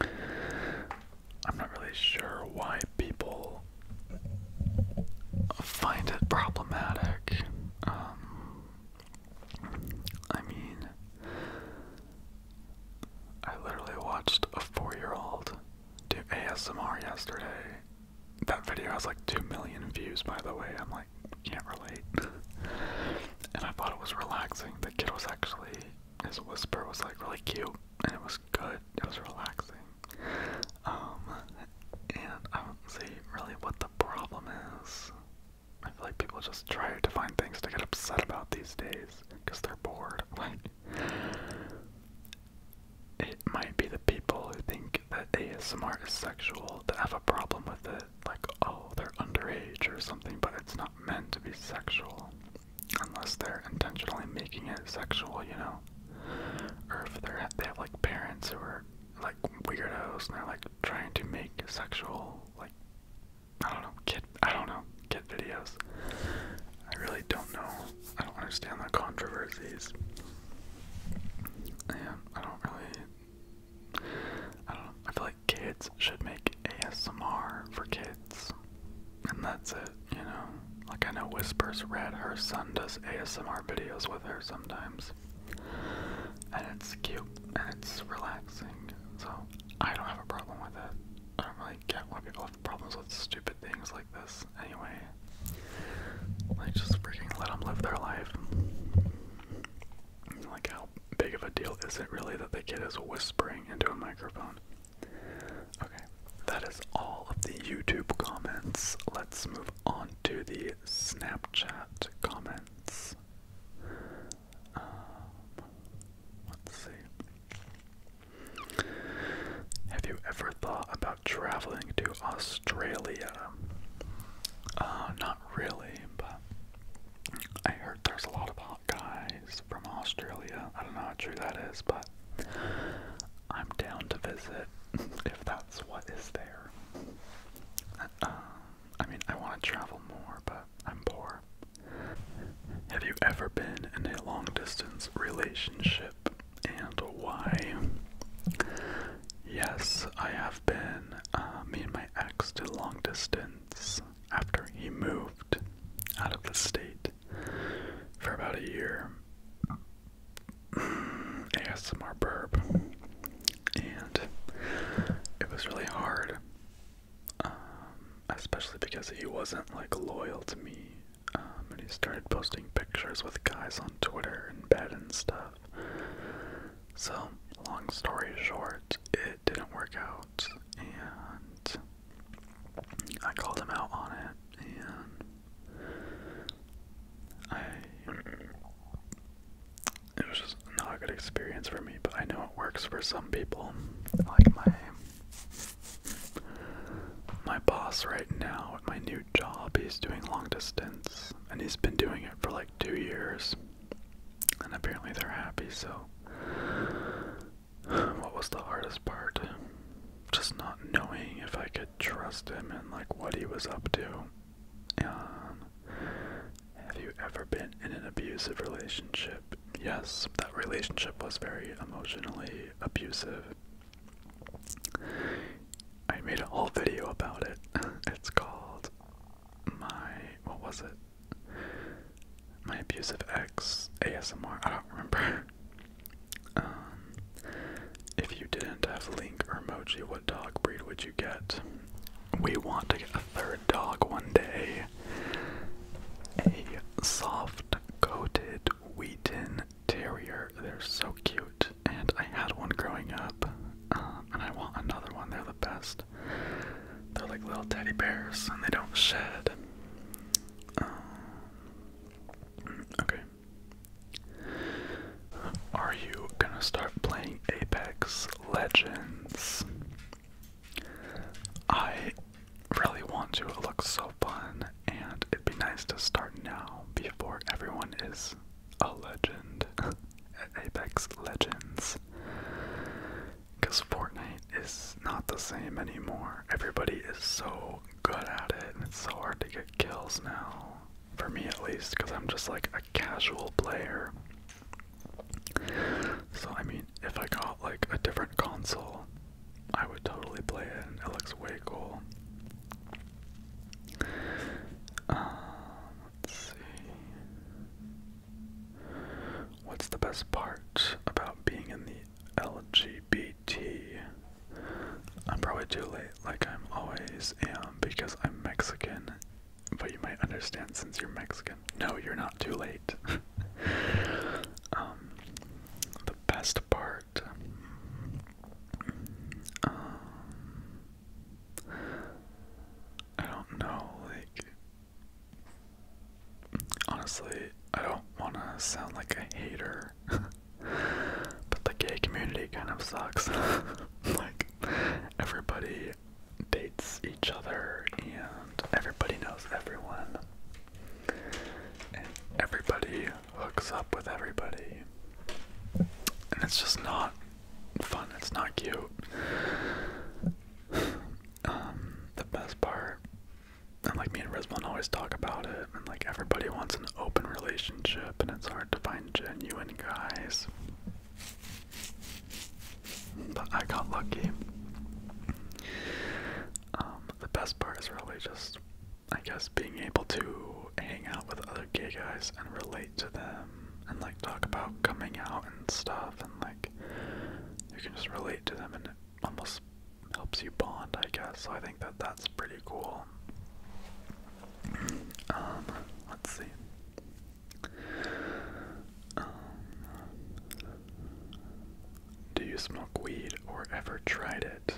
[SPEAKER 1] I'm not really sure why people find it problematic. Um, I mean, I literally watched a four year old do ASMR yesterday. That video has like 2 million views, by the way. I'm like, can't relate. and I thought it was relaxing. The kid was actually, his whisper was like really cute and it was good. It was relaxing. Um, and I don't see really what the problem is. I feel like people just try to find things to get upset about these days because they're bored. Like, it might be the people who think that ASMR is sexual that have a problem with it. Like, oh, they're underage or something, but it's not meant to be sexual. Unless they're intentionally making it sexual, you know? or if they're they have like parents who are like weirdos and they're like trying to make sexual like I don't know kid I don't know kid videos. I really don't know. I don't understand the controversies. Yeah, I don't really. I don't know. I feel like kids should make ASMR for kids, and that's it you know, like I know Whispers Red, her son does ASMR videos with her sometimes, and it's cute
[SPEAKER 2] and it's relaxing. So I don't have a problem with it. I don't really get why
[SPEAKER 1] people have problems with stupid things like this. Anyway, like just freaking let them live their life. Like how big of a deal is it really that the kid is whispering into a microphone? Okay, that is all of the YouTube comments. Let's move on to the Snapchat comments. Um, let's see. Have you ever thought about traveling to Australia? Uh, not really, but I heard there's a lot of hot guys from Australia. I don't know how true that is, but I'm down to visit if that's what is there. Uh, I mean, I want to travel more, but I'm poor. Have you ever been in a long distance relationship and why? Yes, I have been. Uh, me and my ex to long distance after he moved out of the state for about a year. ASMR burp, and it was really hard, um, especially because he wasn't like loyal to me, um, and he started posting pictures with guys on Twitter and bed and stuff. So, long story short, it didn't work out, and I called him out on it, and it was just not a good experience for me, but I know it works for some people. Like my my boss right now at my new job, he's doing long distance and he's been doing it for like two years. And apparently they're happy, so what was the hardest part? Just not knowing if I could trust him and like what he was up to. Um, have you ever been in an abusive relationship? Yes, that relationship was very emotionally abusive. I made a whole video about it. it's called My. What was it? My Abusive Ex ASMR. I don't remember. Um, if you didn't have Link or Mochi, what dog breed would you get? We want to get a third dog one day. A soft coated Wheaten Terrier. They're so cute. And I had one growing up. Uh, and I want another one. They're the best. They're like little teddy bears and they don't shed. Um, okay. Are you gonna start playing Apex Legends? I really want to. It looks so fun, and it'd be nice to start now before everyone is a legend at Apex Legends. Because Fortnite is not the same anymore. Everybody is so good at it, and it's so hard to get kills now for me at least, because I'm just like a casual player. So, I mean, if I got like a different console, I would totally play it, and it looks way cool. Uh, let's see. What's the best part about being in the LG BT, I'm probably too late, like I'm always am, because I'm Mexican. But you might understand since you're Mexican. No, you're not too late. um, the best part. Um, I don't know, like. Honestly, I don't want to sound like a hater. But the gay community kind of sucks. like, everybody dates each other and everybody knows everyone. And everybody hooks up with everybody. And it's just not fun, it's not cute. Um, the best part, and like me and Risman always talk about it, and like everybody wants an open relationship and it's hard to find genuine guys. But I got lucky. Um, the best part is really just, I guess, being able to hang out with other gay guys and relate to them and like talk about coming out and stuff and like you can just relate to them and it almost helps you bond, I guess. So I think that that's pretty cool. Um, let's see. Um, do you smoke weed or ever tried it?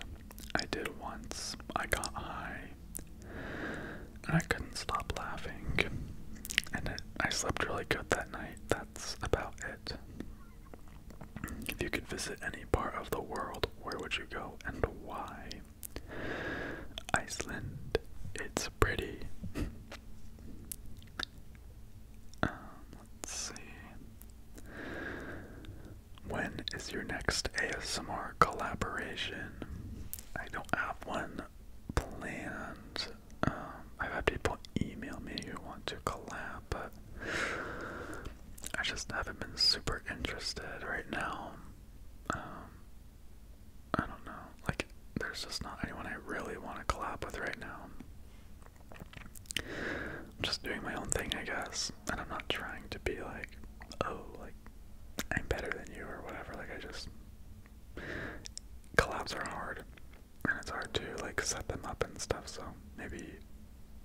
[SPEAKER 1] I did once. I got high, and I couldn't stop laughing. And I slept really good that night. That's about it. If you could visit any part of the world, where would you go and why? Iceland, it's pretty. Um, let's see. When is your next ASMR collaboration? I don't have one planned. Um, I have people email me who want to collab, I just haven't been super interested right now. Um, I don't know. Like, there's just not anyone I really want to collab with right now. I'm just doing my own thing, I guess. And I'm not trying to be like, oh, like, I'm better than you or whatever. Like, I just. Collabs are hard. And it's hard to, like, set them up and stuff, so maybe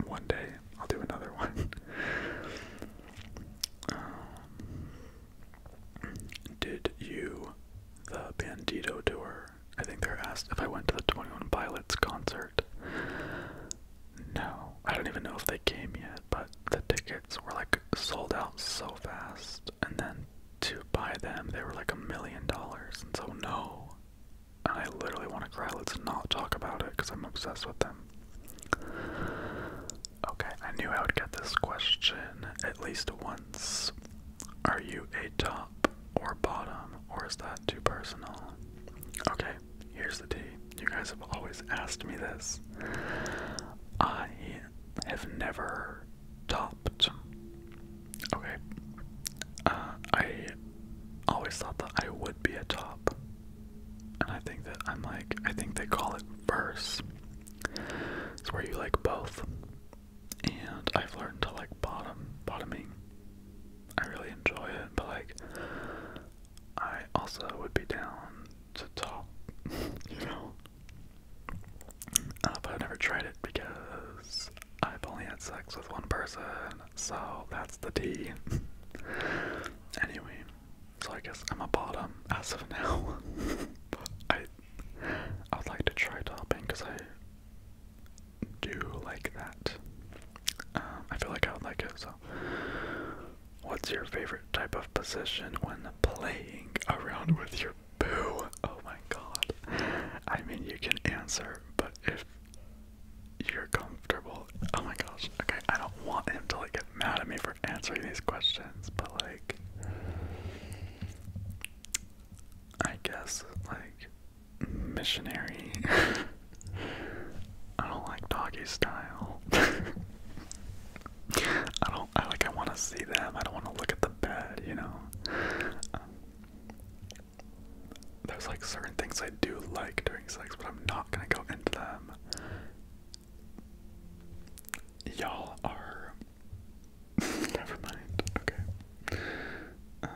[SPEAKER 1] one day I'll do another one. Um, did you the Bandito tour? I think they're asked if I went to the Twenty One Pilots concert. No, I don't even know if they came yet, but the tickets were like sold out so fast, and then to buy them they were like a million dollars, and so no. And I literally want to cry. Let's not talk about it because I'm obsessed with them. Okay, I knew I would get this question at least once. Are you a top or bottom, or is that too personal? Okay, here's the tea. You guys have always asked me this. I have never topped. Okay. Uh, I always thought that I would be a top and I think that I'm like, I think they call it verse. It's where you like both. And I've learned to like bottom, bottoming. I really enjoy it, but like, I also would be down to top, you know? Uh, but I've never tried it because I've only had sex with one person, so that's the D. anyway, so I guess I'm a bottom as of now. I I would like to try topping because I do like that. Um, I feel like I would like it. So, what's your favorite type of position when playing around with your boo? Oh my god! I mean, you can answer, but if you're comfortable, oh my gosh. Okay, I don't want him to like get mad at me for answering these questions, but like, I guess like missionary. I don't like doggy style. I don't. I like. I want to see them. I don't want to look at the bed. You know. Um, there's like certain things I do like doing sex, but I'm not gonna go into them Y'all are. Never mind. Okay. Um,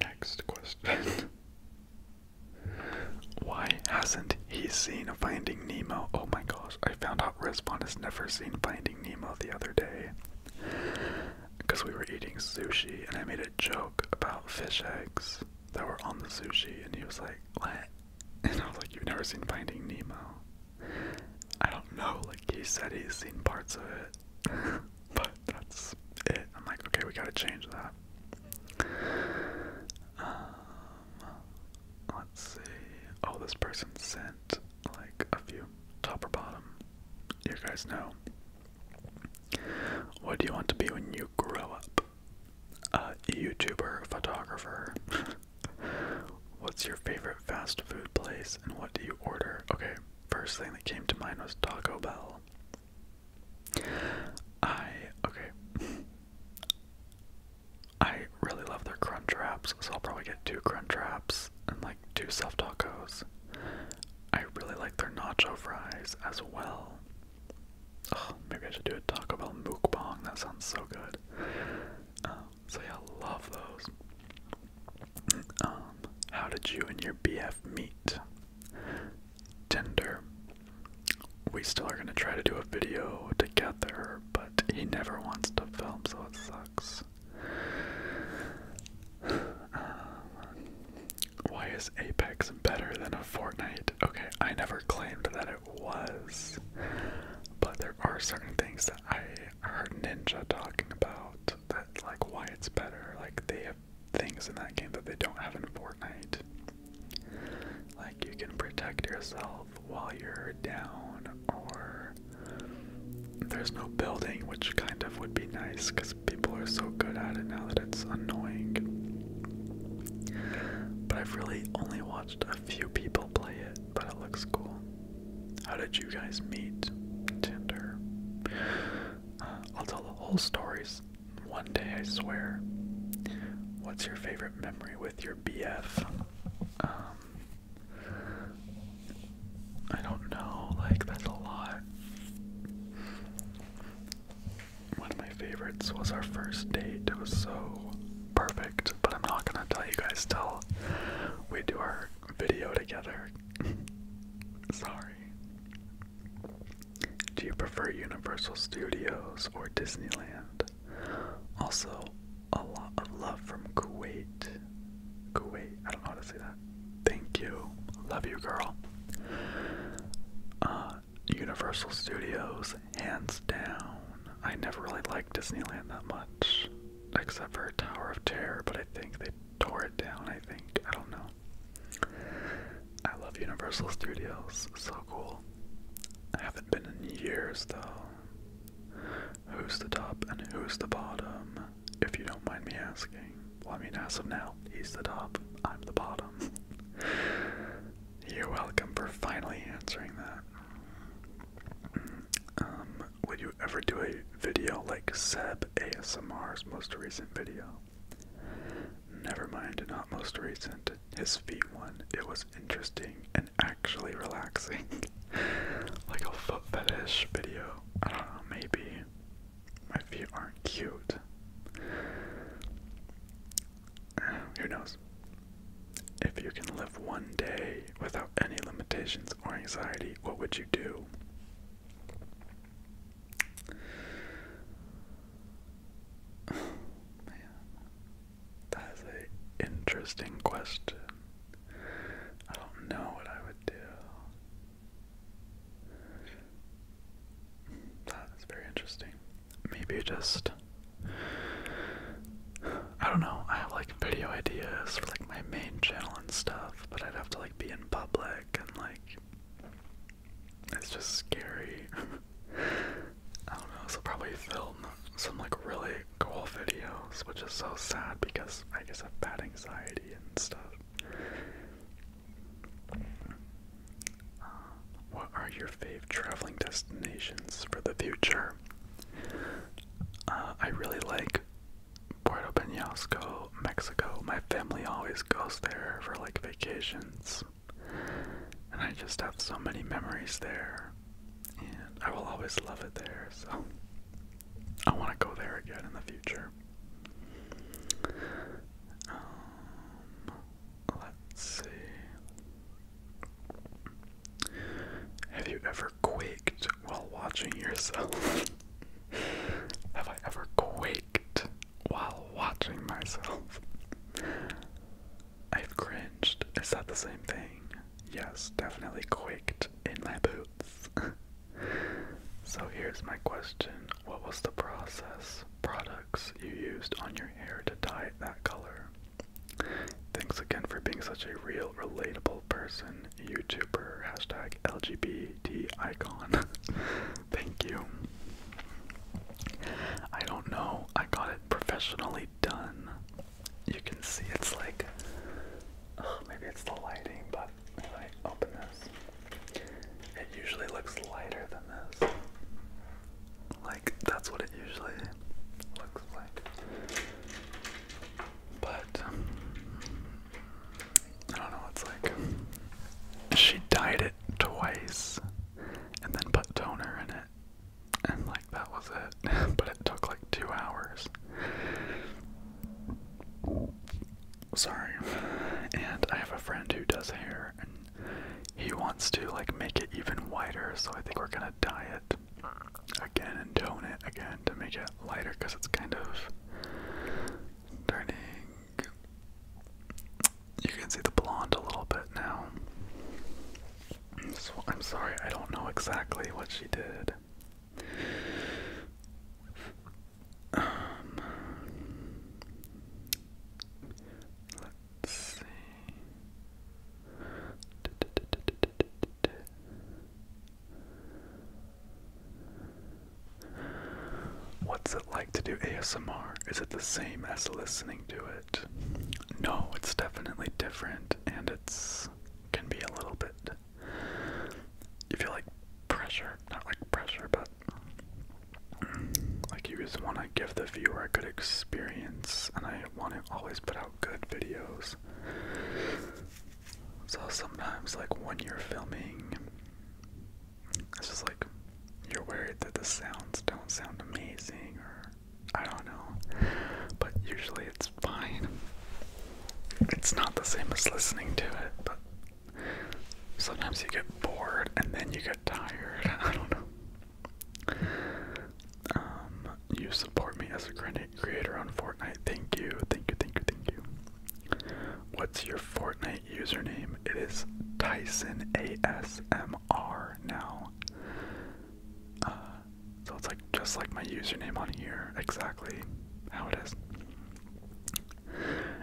[SPEAKER 1] next question. Why hasn't he seen Finding Nemo? Oh my gosh, I found out Respawn has never seen Finding Nemo the other day. Because we were eating sushi and I made a joke about fish eggs that were on the sushi, and he was like, "What?" And I was like, "You've never seen Finding Nemo?" I don't know. Like he said, he's seen parts of it, but that's it. I'm like, okay, we gotta change that. Um, let's see. Oh, this person sent like a few top or bottom. You guys know what do you want to be when you grow up? A YouTuber, photographer. What's your favorite fast food place and what do you order? Okay, first thing that came to mind was Taco Bell. I, okay. I really love their crunch wraps, so I'll probably get two crunch wraps and like two self tacos. I really like their nacho fries as well. Oh, maybe I should do a talk about mukbang. That sounds so good. Um, so yeah, love those. Um, how did you and your BF meet? Tinder. We still are gonna try to do a video together, but he never wants to film, so it sucks. Um, why is Apex better than a Fortnite? Okay, I never
[SPEAKER 2] claimed that it was, but there are certain things that I heard Ninja talking about that, like, why it's better. Like, they have things in that game
[SPEAKER 1] that they don't have in Fortnite. Like, you can protect yourself while you're down, or there's no building, which kind of would be nice because people are so good at it now that it's annoying. But I've really only watched a few people play it, but it looks cool. How did you guys meet? Tinder. Uh, I'll tell the whole stories one day, I swear. What's your favorite memory with your BF? Um, I don't know, like, that's a lot one of my favorites was our first date. It was so perfect, but I'm not gonna tell you guys till we do our video together. Sorry.
[SPEAKER 2] Do you prefer Universal Studios or Disneyland? Also, a lot of love from Kuwait. Kuwait, I don't know how to say that. Thank you. Love you, girl. Uh, Universal Studios, hands down. I never really liked Disneyland that much, except for Tower of Terror, but I think they tore it
[SPEAKER 1] down, I think. I don't know. I love Universal Studios, so cool. I haven't been in years though. Who's the top and who's the bottom, if you don't mind me asking? I mean, as of now, he's the top, I'm the bottom. You're welcome for finally answering that. Um, would you ever do a video like Seb ASMR's most recent video? Never mind, not most recent. His feet one. It was interesting and actually relaxing. like a foot fetish video. I don't know, maybe. My feet aren't cute. Who knows? If you can live one day without any limitations or anxiety, what would you do? That's an interesting question. I don't know what I would do. That's very interesting. Maybe just I don't know. I have like video ideas for like my main channel and stuff, but I'd have to like be in public and like it's just scary.
[SPEAKER 2] I don't know. So probably film some like really cool videos, which is so sad because I guess I've bad anxiety
[SPEAKER 1] and stuff what are your favorite traveling destinations for the future? Uh, I really like Puerto Penasco, Mexico. My family always goes there for like vacations, and I just have so many memories there, and I will always love it there. So I want to go there again in the future. Um, let's see. Have you ever quaked while watching yourself? Have I ever quaked while watching
[SPEAKER 2] myself? I've cringed. Is that the same thing? Yes, definitely quaked in my boots. so here's my question what was the process products you used on your hair to dye it that color?
[SPEAKER 1] Thanks again for being such a real, relatable person, YouTuber, hashtag LGBT icon. Thank you. I don't know, I got it professionally done. You can see it's like, maybe it's the lighting, but if I open this. It usually looks lighter than this. Like, that's what it usually looks like. But,
[SPEAKER 2] I don't know, it's like she dyed it twice
[SPEAKER 1] and then put toner in it. And, like, that was it. but it took like two hours. Sorry. And I have a friend who does hair, he wants to like make it even wider, so I think we're gonna dye it again and tone it again to make it lighter because it's kind of turning. You can see the blonde a little bit now. So, I'm sorry, I don't know exactly what she did. Um, Let's see. What's it like to do ASMR? Is it the same as listening to it? No, it's definitely different and it's
[SPEAKER 2] can be a little bit you feel like pressure, not like pressure, but like you just
[SPEAKER 1] want to give the viewer a good experience, and I want to always put out good videos. So sometimes, like when you're filming, it's just like you're worried that the sounds don't sound amazing, or I don't know, but usually it's fine. It's not the same as listening to it, but sometimes you get bored and then you get tired. I don't know. Um, you support me as a creator on Fortnite. Thank you, thank you, thank you, thank you. What's your Fortnite username? It is Tyson ASMR now. Uh, so it's like just like my username on here, exactly how it is.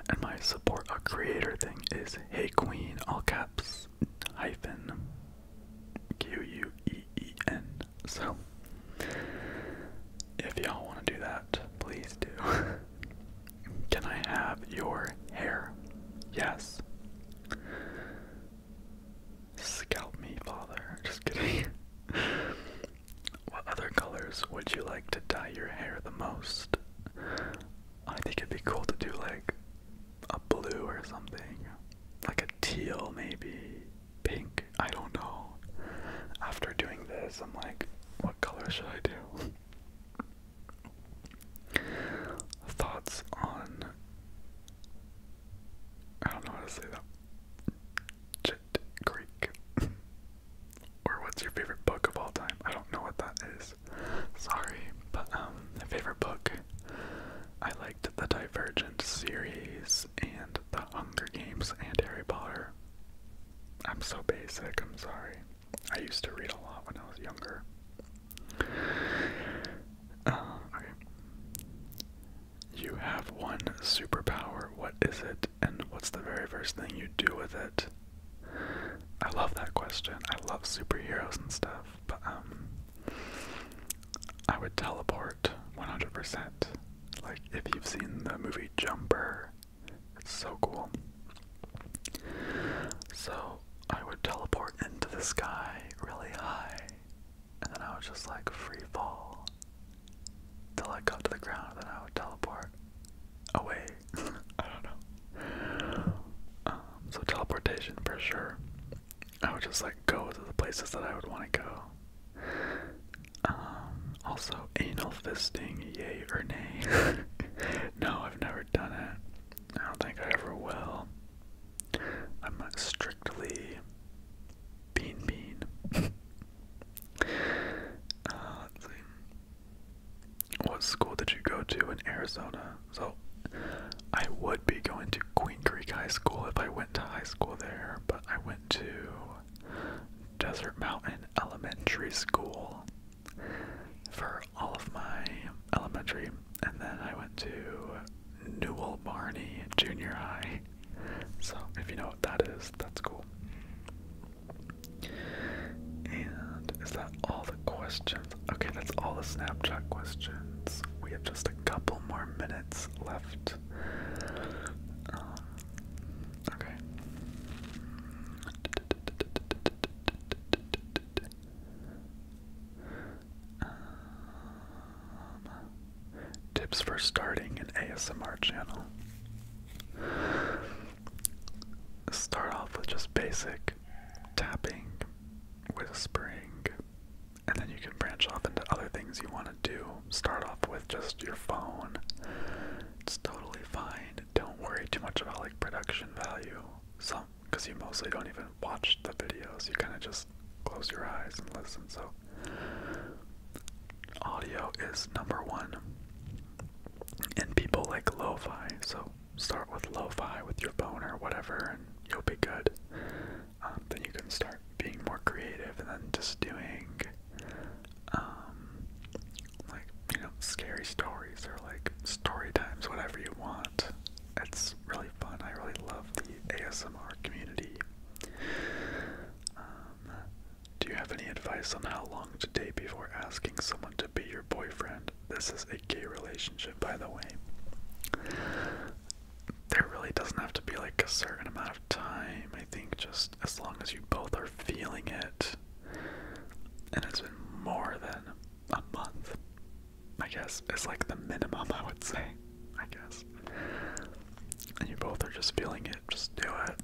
[SPEAKER 1] And my support a creator thing is Hey Queen, all caps, hyphen, Q U E E N. So, if y'all want to do that, please do. Can I have your hair? Yes. Scalp me, father. Just kidding. what other colors would you like to dye your hair the most? I think it'd be cool to do like a blue or something. Like a teal, maybe. Pink. I don't know. After doing this, I'm like, what color should I do? Thoughts on. I don't know how to say that. Jit Greek. or what's your favorite book of all time? I don't know what that is. Sorry, but um, my favorite book. I liked the Divergent series and the Hunger Games and Harry Potter. I'm so basic, I'm sorry. I used to read a lot when I was younger. Uh, okay. You have one superpower. What is it? And what's the very first thing you do with it? I love that question. I love superheroes and stuff, but um
[SPEAKER 2] I would teleport 100%. Like if you've seen the movie Jumper, it's so cool.
[SPEAKER 1] So, I would teleport into the sky really high, and then I would just like free fall till I got to the ground, and then I would teleport away I don't know. Um, so teleportation for sure. I would just like go to the places that I would want to go. Um, also anal fisting, yay or nay? no, I've never done it. I don't think I ever will. I'm strictly
[SPEAKER 2] bean bean. Uh, let's see. What school did you go to in Arizona? So I would be going to Queen Creek High
[SPEAKER 1] School if I went to high school there, but I went to Desert Mountain Elementary School for all of my elementary, and then I went to Newell Barney Junior High. So if you know what that is, that's cool. And is that all the questions? Okay, that's all the Snapchat questions. We have just a couple more minutes left. Um, okay. Um, tips for starting an ASMR channel. Start off with just basic tapping, with Spring. And then you can branch off into other things you want to do. Start off with just your phone. It's totally fine. Don't worry too much about like production value. So, because you mostly don't even watch the videos. You kind of just close your eyes and listen. So audio is number one.
[SPEAKER 2] And people like lo-fi, so start with lo-fi with your phone or whatever, and you'll be good. Um, then you can start being more creative, and then
[SPEAKER 1] just doing, um, like you know, scary stories or like story times, whatever you want. It's really fun. I really love the ASMR community. Um, do you have any advice on how long to date before asking someone to be your boyfriend? This is a gay relationship, by the way. There really doesn't have to be like a certain amount of time. I think just as long as you both are feeling it, and it's been more than a month, I guess, it's like the minimum I would say, I guess. And you both are just feeling it, just do it.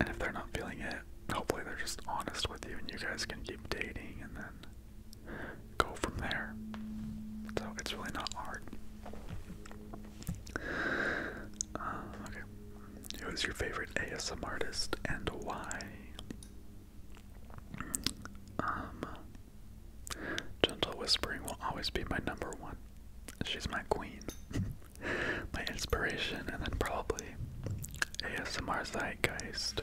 [SPEAKER 1] And if they're not feeling it, hopefully they're just honest with you and you guys can keep dating and then go from there. So it's really not hard. Uh, okay. Who is your favorite ASMR artist and why? Um, Gentle Whispering will always be my number one. She's my queen, my inspiration, and then probably ASMR Zeitgeist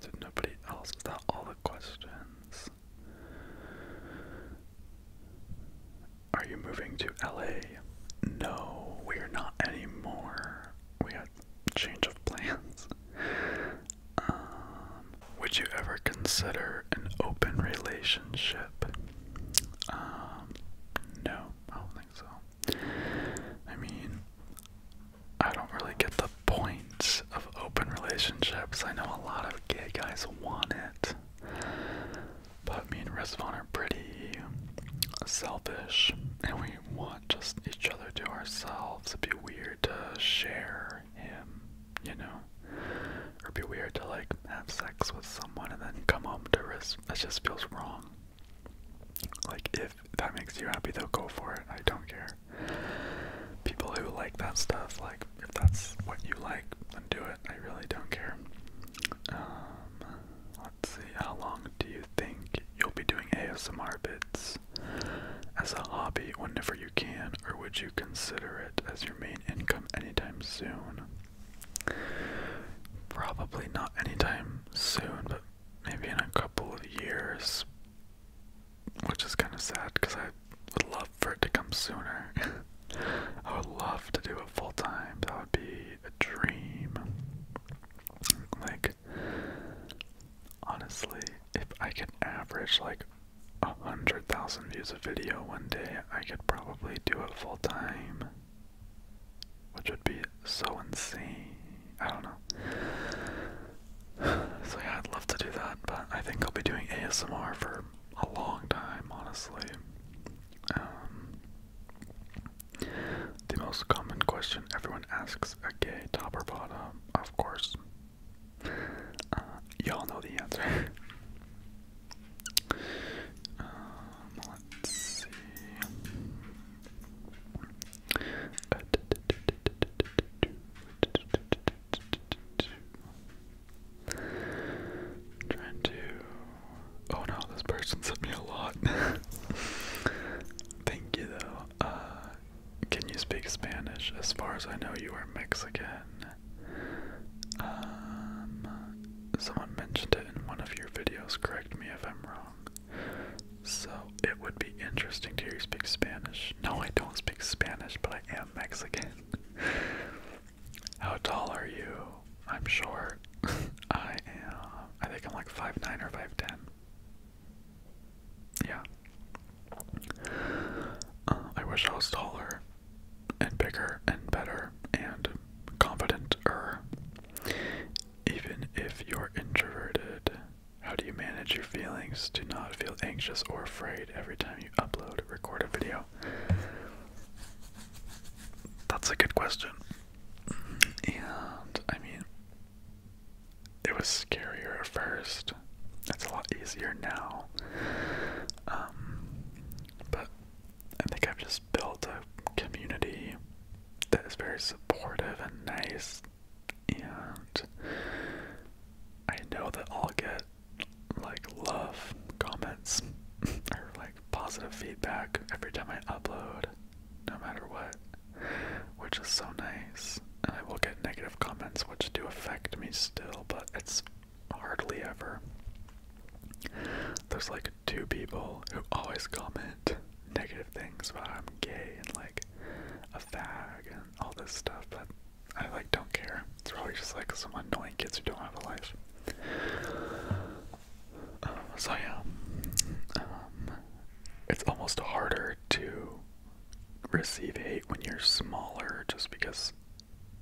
[SPEAKER 1] did nobody else? Is all the questions? Are you moving to LA? No, we are not anymore. We had change of plans. Um, would you ever consider an open relationship? Um, no, I don't think so. I mean, I don't really get the point of open relationships. I know a lot of gay guys want it. But me and Rizvan are pretty selfish and we want just each other to ourselves. It'd be weird to share him, you know? Or it'd be weird to like have sex with someone and then come home to Riz. That just feels wrong. Like, if that makes you happy, though, go for it. I don't care people who like that stuff. Like, if that's what you like, then do it. I really don't care. Um, let's see. How long do you think you'll be doing ASMR bits as a hobby whenever you can, or would you consider it as your main income anytime soon? Probably not anytime soon, but maybe in a couple of years which is kind of sad because I would love for it to come sooner. I would love to do it full time. That would be a dream. Like, honestly, if I can average like a hundred thousand views a video one day, I could probably do it full time, which would be so insane. I don't know. So yeah, I'd love to do that, but I think I'll be doing ASMR for a long time, honestly. Um, the most common question everyone asks a gay top or bottom, of course. Uh, y'all know the answer. Um, let's see. Trying to. Oh no, this person sent me a lot. Thank you though. Uh, can you speak Spanish? As far as I know, you are Mexican. Um, someone mentioned it in one of your videos. Correct me if I'm wrong. So it would be interesting to hear you speak Spanish. No, I don't speak Spanish, but I am Mexican. How tall are you? I'm short. I am. I think I'm like five nine or 5'10. Yeah. Uh, I wish I was taller and bigger and better and
[SPEAKER 2] confident-er. Even if you're introverted, how do you manage your feelings to not feel anxious or afraid
[SPEAKER 1] every time you upload, record a video? That's a good question. And I mean, it was scarier at first. It's a lot easier now. Um, but I think I've just built a community that is very supportive and nice and
[SPEAKER 2] I know that I'll get like love comments or like positive feedback every time I upload, no matter what, which is so nice. And I will get negative comments, which do affect me still, but it's hardly ever. There's like two people who always comment
[SPEAKER 1] negative things about I'm gay and like a fag and all this stuff, but I like don't care. It's always just like some annoying kids who don't have a life. Um, so yeah, um, it's almost harder to receive hate when you're smaller, just because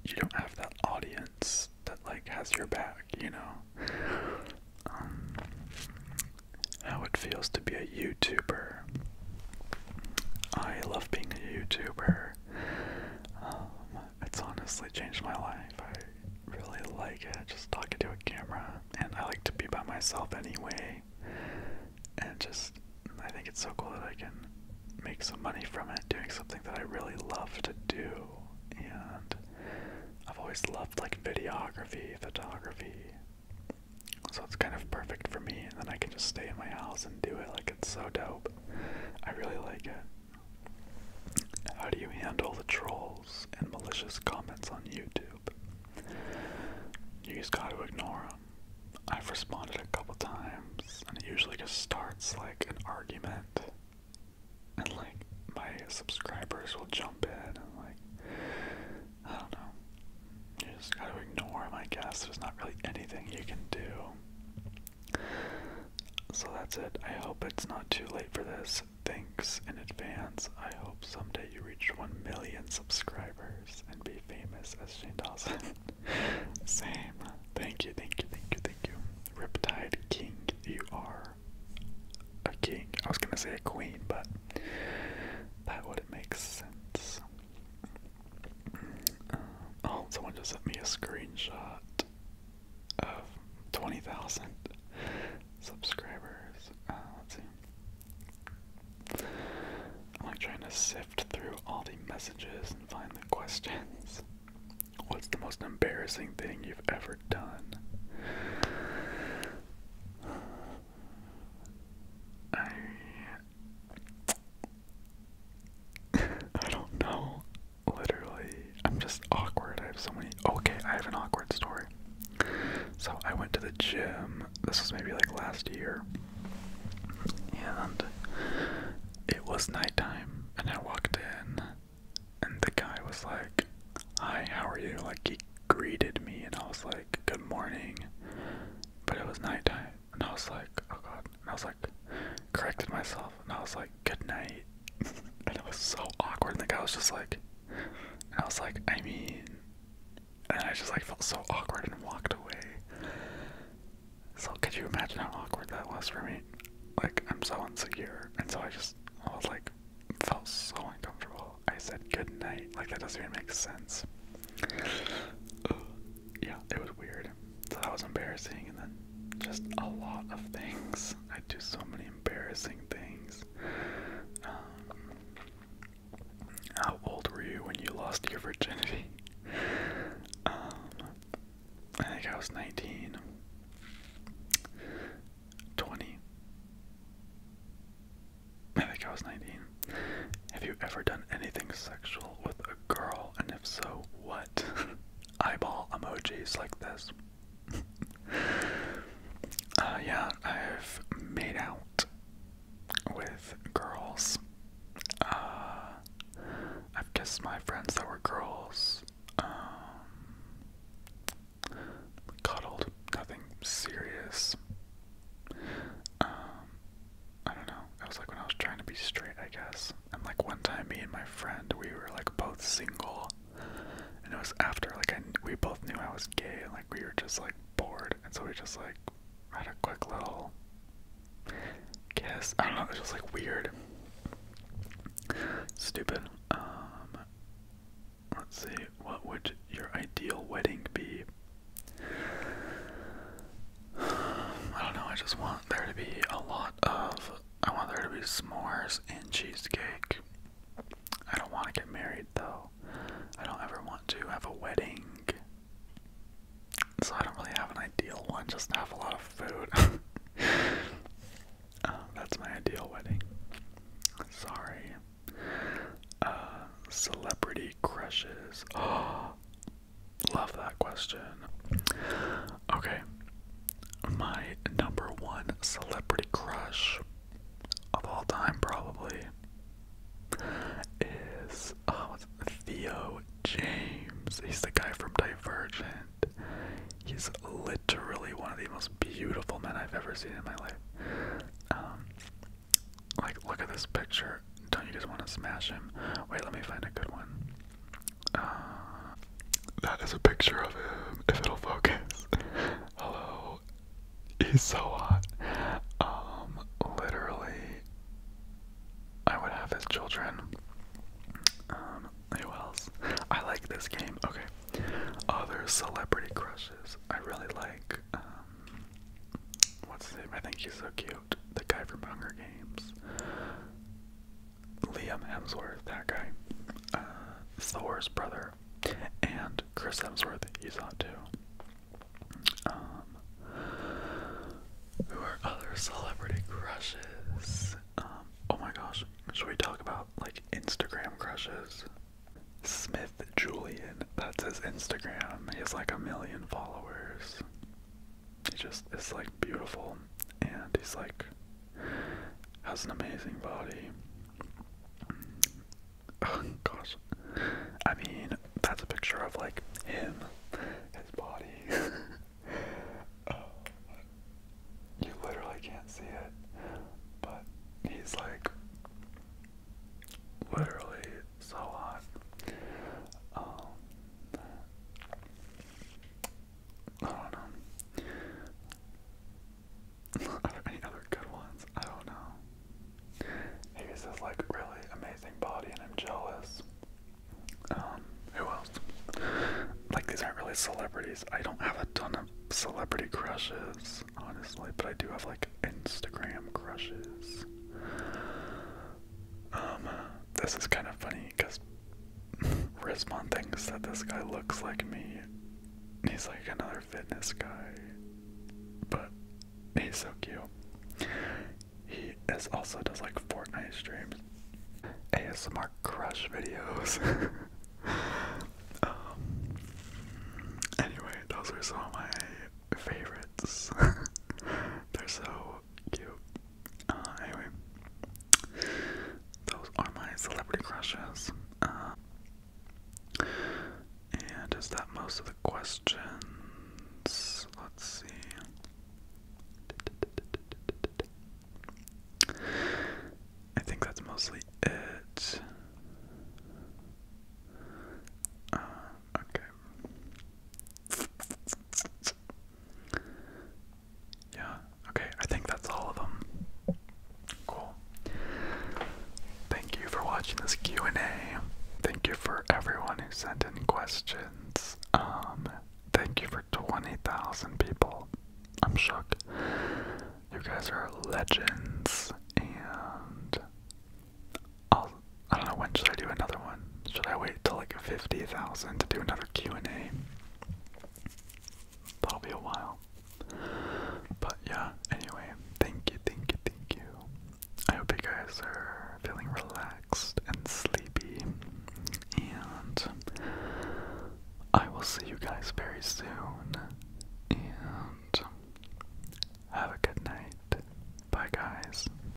[SPEAKER 1] you don't have that audience that like has your back. You know, um, how it feels to be a YouTuber I love being a YouTuber. Um, it's honestly changed my life. I really like it, just talking to a camera. And I like to be by myself anyway. And just, I think it's so cool that I can make some money from it, doing something that I really love to do. And I've always loved like videography, photography, so it's kind of perfect for me, and then I can just stay in my house and do it. Like, it's so dope. I really like it. How do you handle the trolls and malicious comments on YouTube? You just gotta ignore them. I've responded a couple times, and it usually just starts like an argument. And like, my subscribers will jump in, and like, I don't know. You just gotta ignore him, I guess. There's not really anything you can do. So that's it. I hope it's not too late for this. Thanks in advance.
[SPEAKER 2] I hope someday you reach 1 million subscribers and be famous as Shane Dawson. Same. Thank you, thank you, thank you, thank you. Riptide King, you are a king. I was gonna
[SPEAKER 1] say a queen, but that wouldn't make sense. Uh, oh, someone just sent me a screenshot of 20,000 subscribers. Uh, let's see. I'm like trying to sift through all the messages and find the questions. What's the most embarrassing thing you've ever done? I
[SPEAKER 2] I don't know. Literally, I'm just awkward. I have so many. Okay, I have an awkward story. So I went
[SPEAKER 1] to the gym. This was maybe like last year, and it was nighttime. And I walked in, and the guy was like, "Hi, how are you?" Like he greeted me, and I was like, "Good morning," but it was nighttime. And I was like, oh god. And I was like, corrected myself. And I was like, good night. and it was so awkward. And the guy was just like, I was like, I mean. And I just like felt so awkward and walked away. So could you imagine how awkward that was for me? Like, I'm so insecure. And so I just, I was like, felt so uncomfortable. I said good night. Like, that doesn't even make sense yeah, it was weird. So that was embarrassing, and then just a lot of things. I do so many embarrassing things. Um, how old were you when you lost your virginity? Um, I think I was 19. I think I was 19. Have you ever done anything sexual with a girl? And if so, what? Eyeball emojis like this. Uh, yeah, I've made out with girls. Uh, I've kissed my friends that were girls. Um, cuddled, nothing serious. Um, I don't know. It was like when I was trying to be straight, I guess. And like one time, me and my friend, we were like both single, and it was after like I we both knew I was gay, and like we were just like bored, and so we just like had a quick little kiss. I don't know. It was just like weird, stupid. Um, let's see. What would your ideal wedding be? I don't know, I just want there to be a lot of I want there to be s'mores and cheesecake. I don't want to get married though. I don't ever want to have a wedding. So I don't really have an ideal one, just have a lot of food. Uh, that's my ideal wedding. Sorry. Uh, celebrity crushes. Oh, Love that question. Okay. My number one celebrity crush of all time probably is oh, Theo James. He's the guy from Divergent. He's literally one of the most beautiful men I've ever seen in my life. Um, like, look at this picture. Don't you just want to smash him? Wait, let me find a good one. Uh, that is a picture of him, if it'll focus.
[SPEAKER 2] Hello. He's so hot. Um, literally, I would have his children. Um, who else? I like this game. Okay.
[SPEAKER 1] Other celebrity crushes I really like. Um, what's his name? I think he's so cute the guy from Hunger Games, Liam Hemsworth, that guy, uh, Thor's brother, and Chris Hemsworth, he's hot too. Um, who are other celebrity crushes? Um, oh my gosh, should we talk about like Instagram crushes? Smith Julian, that's his Instagram. He has like a million followers he just is like beautiful and he's like has an amazing body. Oh gosh. I mean, that's a picture of like him, his body. Oh, you literally can't see it, but he's like literally so hot. Um, I don't know. Are there other good ones? I don't know. He has this like really amazing body and I'm jealous. Um, who else? Like these aren't really celebrities. I don't have a ton of celebrity crushes, honestly, but I do have like Instagram crushes. Um, this is kind of funny because Rismon thinks that this guy looks like me. He's like another fitness guy, but he's so cute. He is also does like Fortnite streams, ASMR crush videos. um, anyway, those are some of my favorites. They're so cute. Uh, anyway, those are my celebrity crushes. Uh, and is that most of the questions? Let's see. I think that's mostly it. Uh, okay. Yeah, okay, I think that's all of them. Cool. Thank you for watching this Q&A. Thank you for everyone who sent in questions. Um, thank you for 20,000 people. I'm shook. You guys are legends,
[SPEAKER 2] and I'll, I don't know when should I do another one. Should I wait till like fifty thousand to do another Q and A? That'll be a while. But yeah. Anyway, thank you, thank you, thank you. I hope you guys
[SPEAKER 1] are feeling relaxed and sleepy, and I will see you guys very soon. And have a good night. Bye, guys.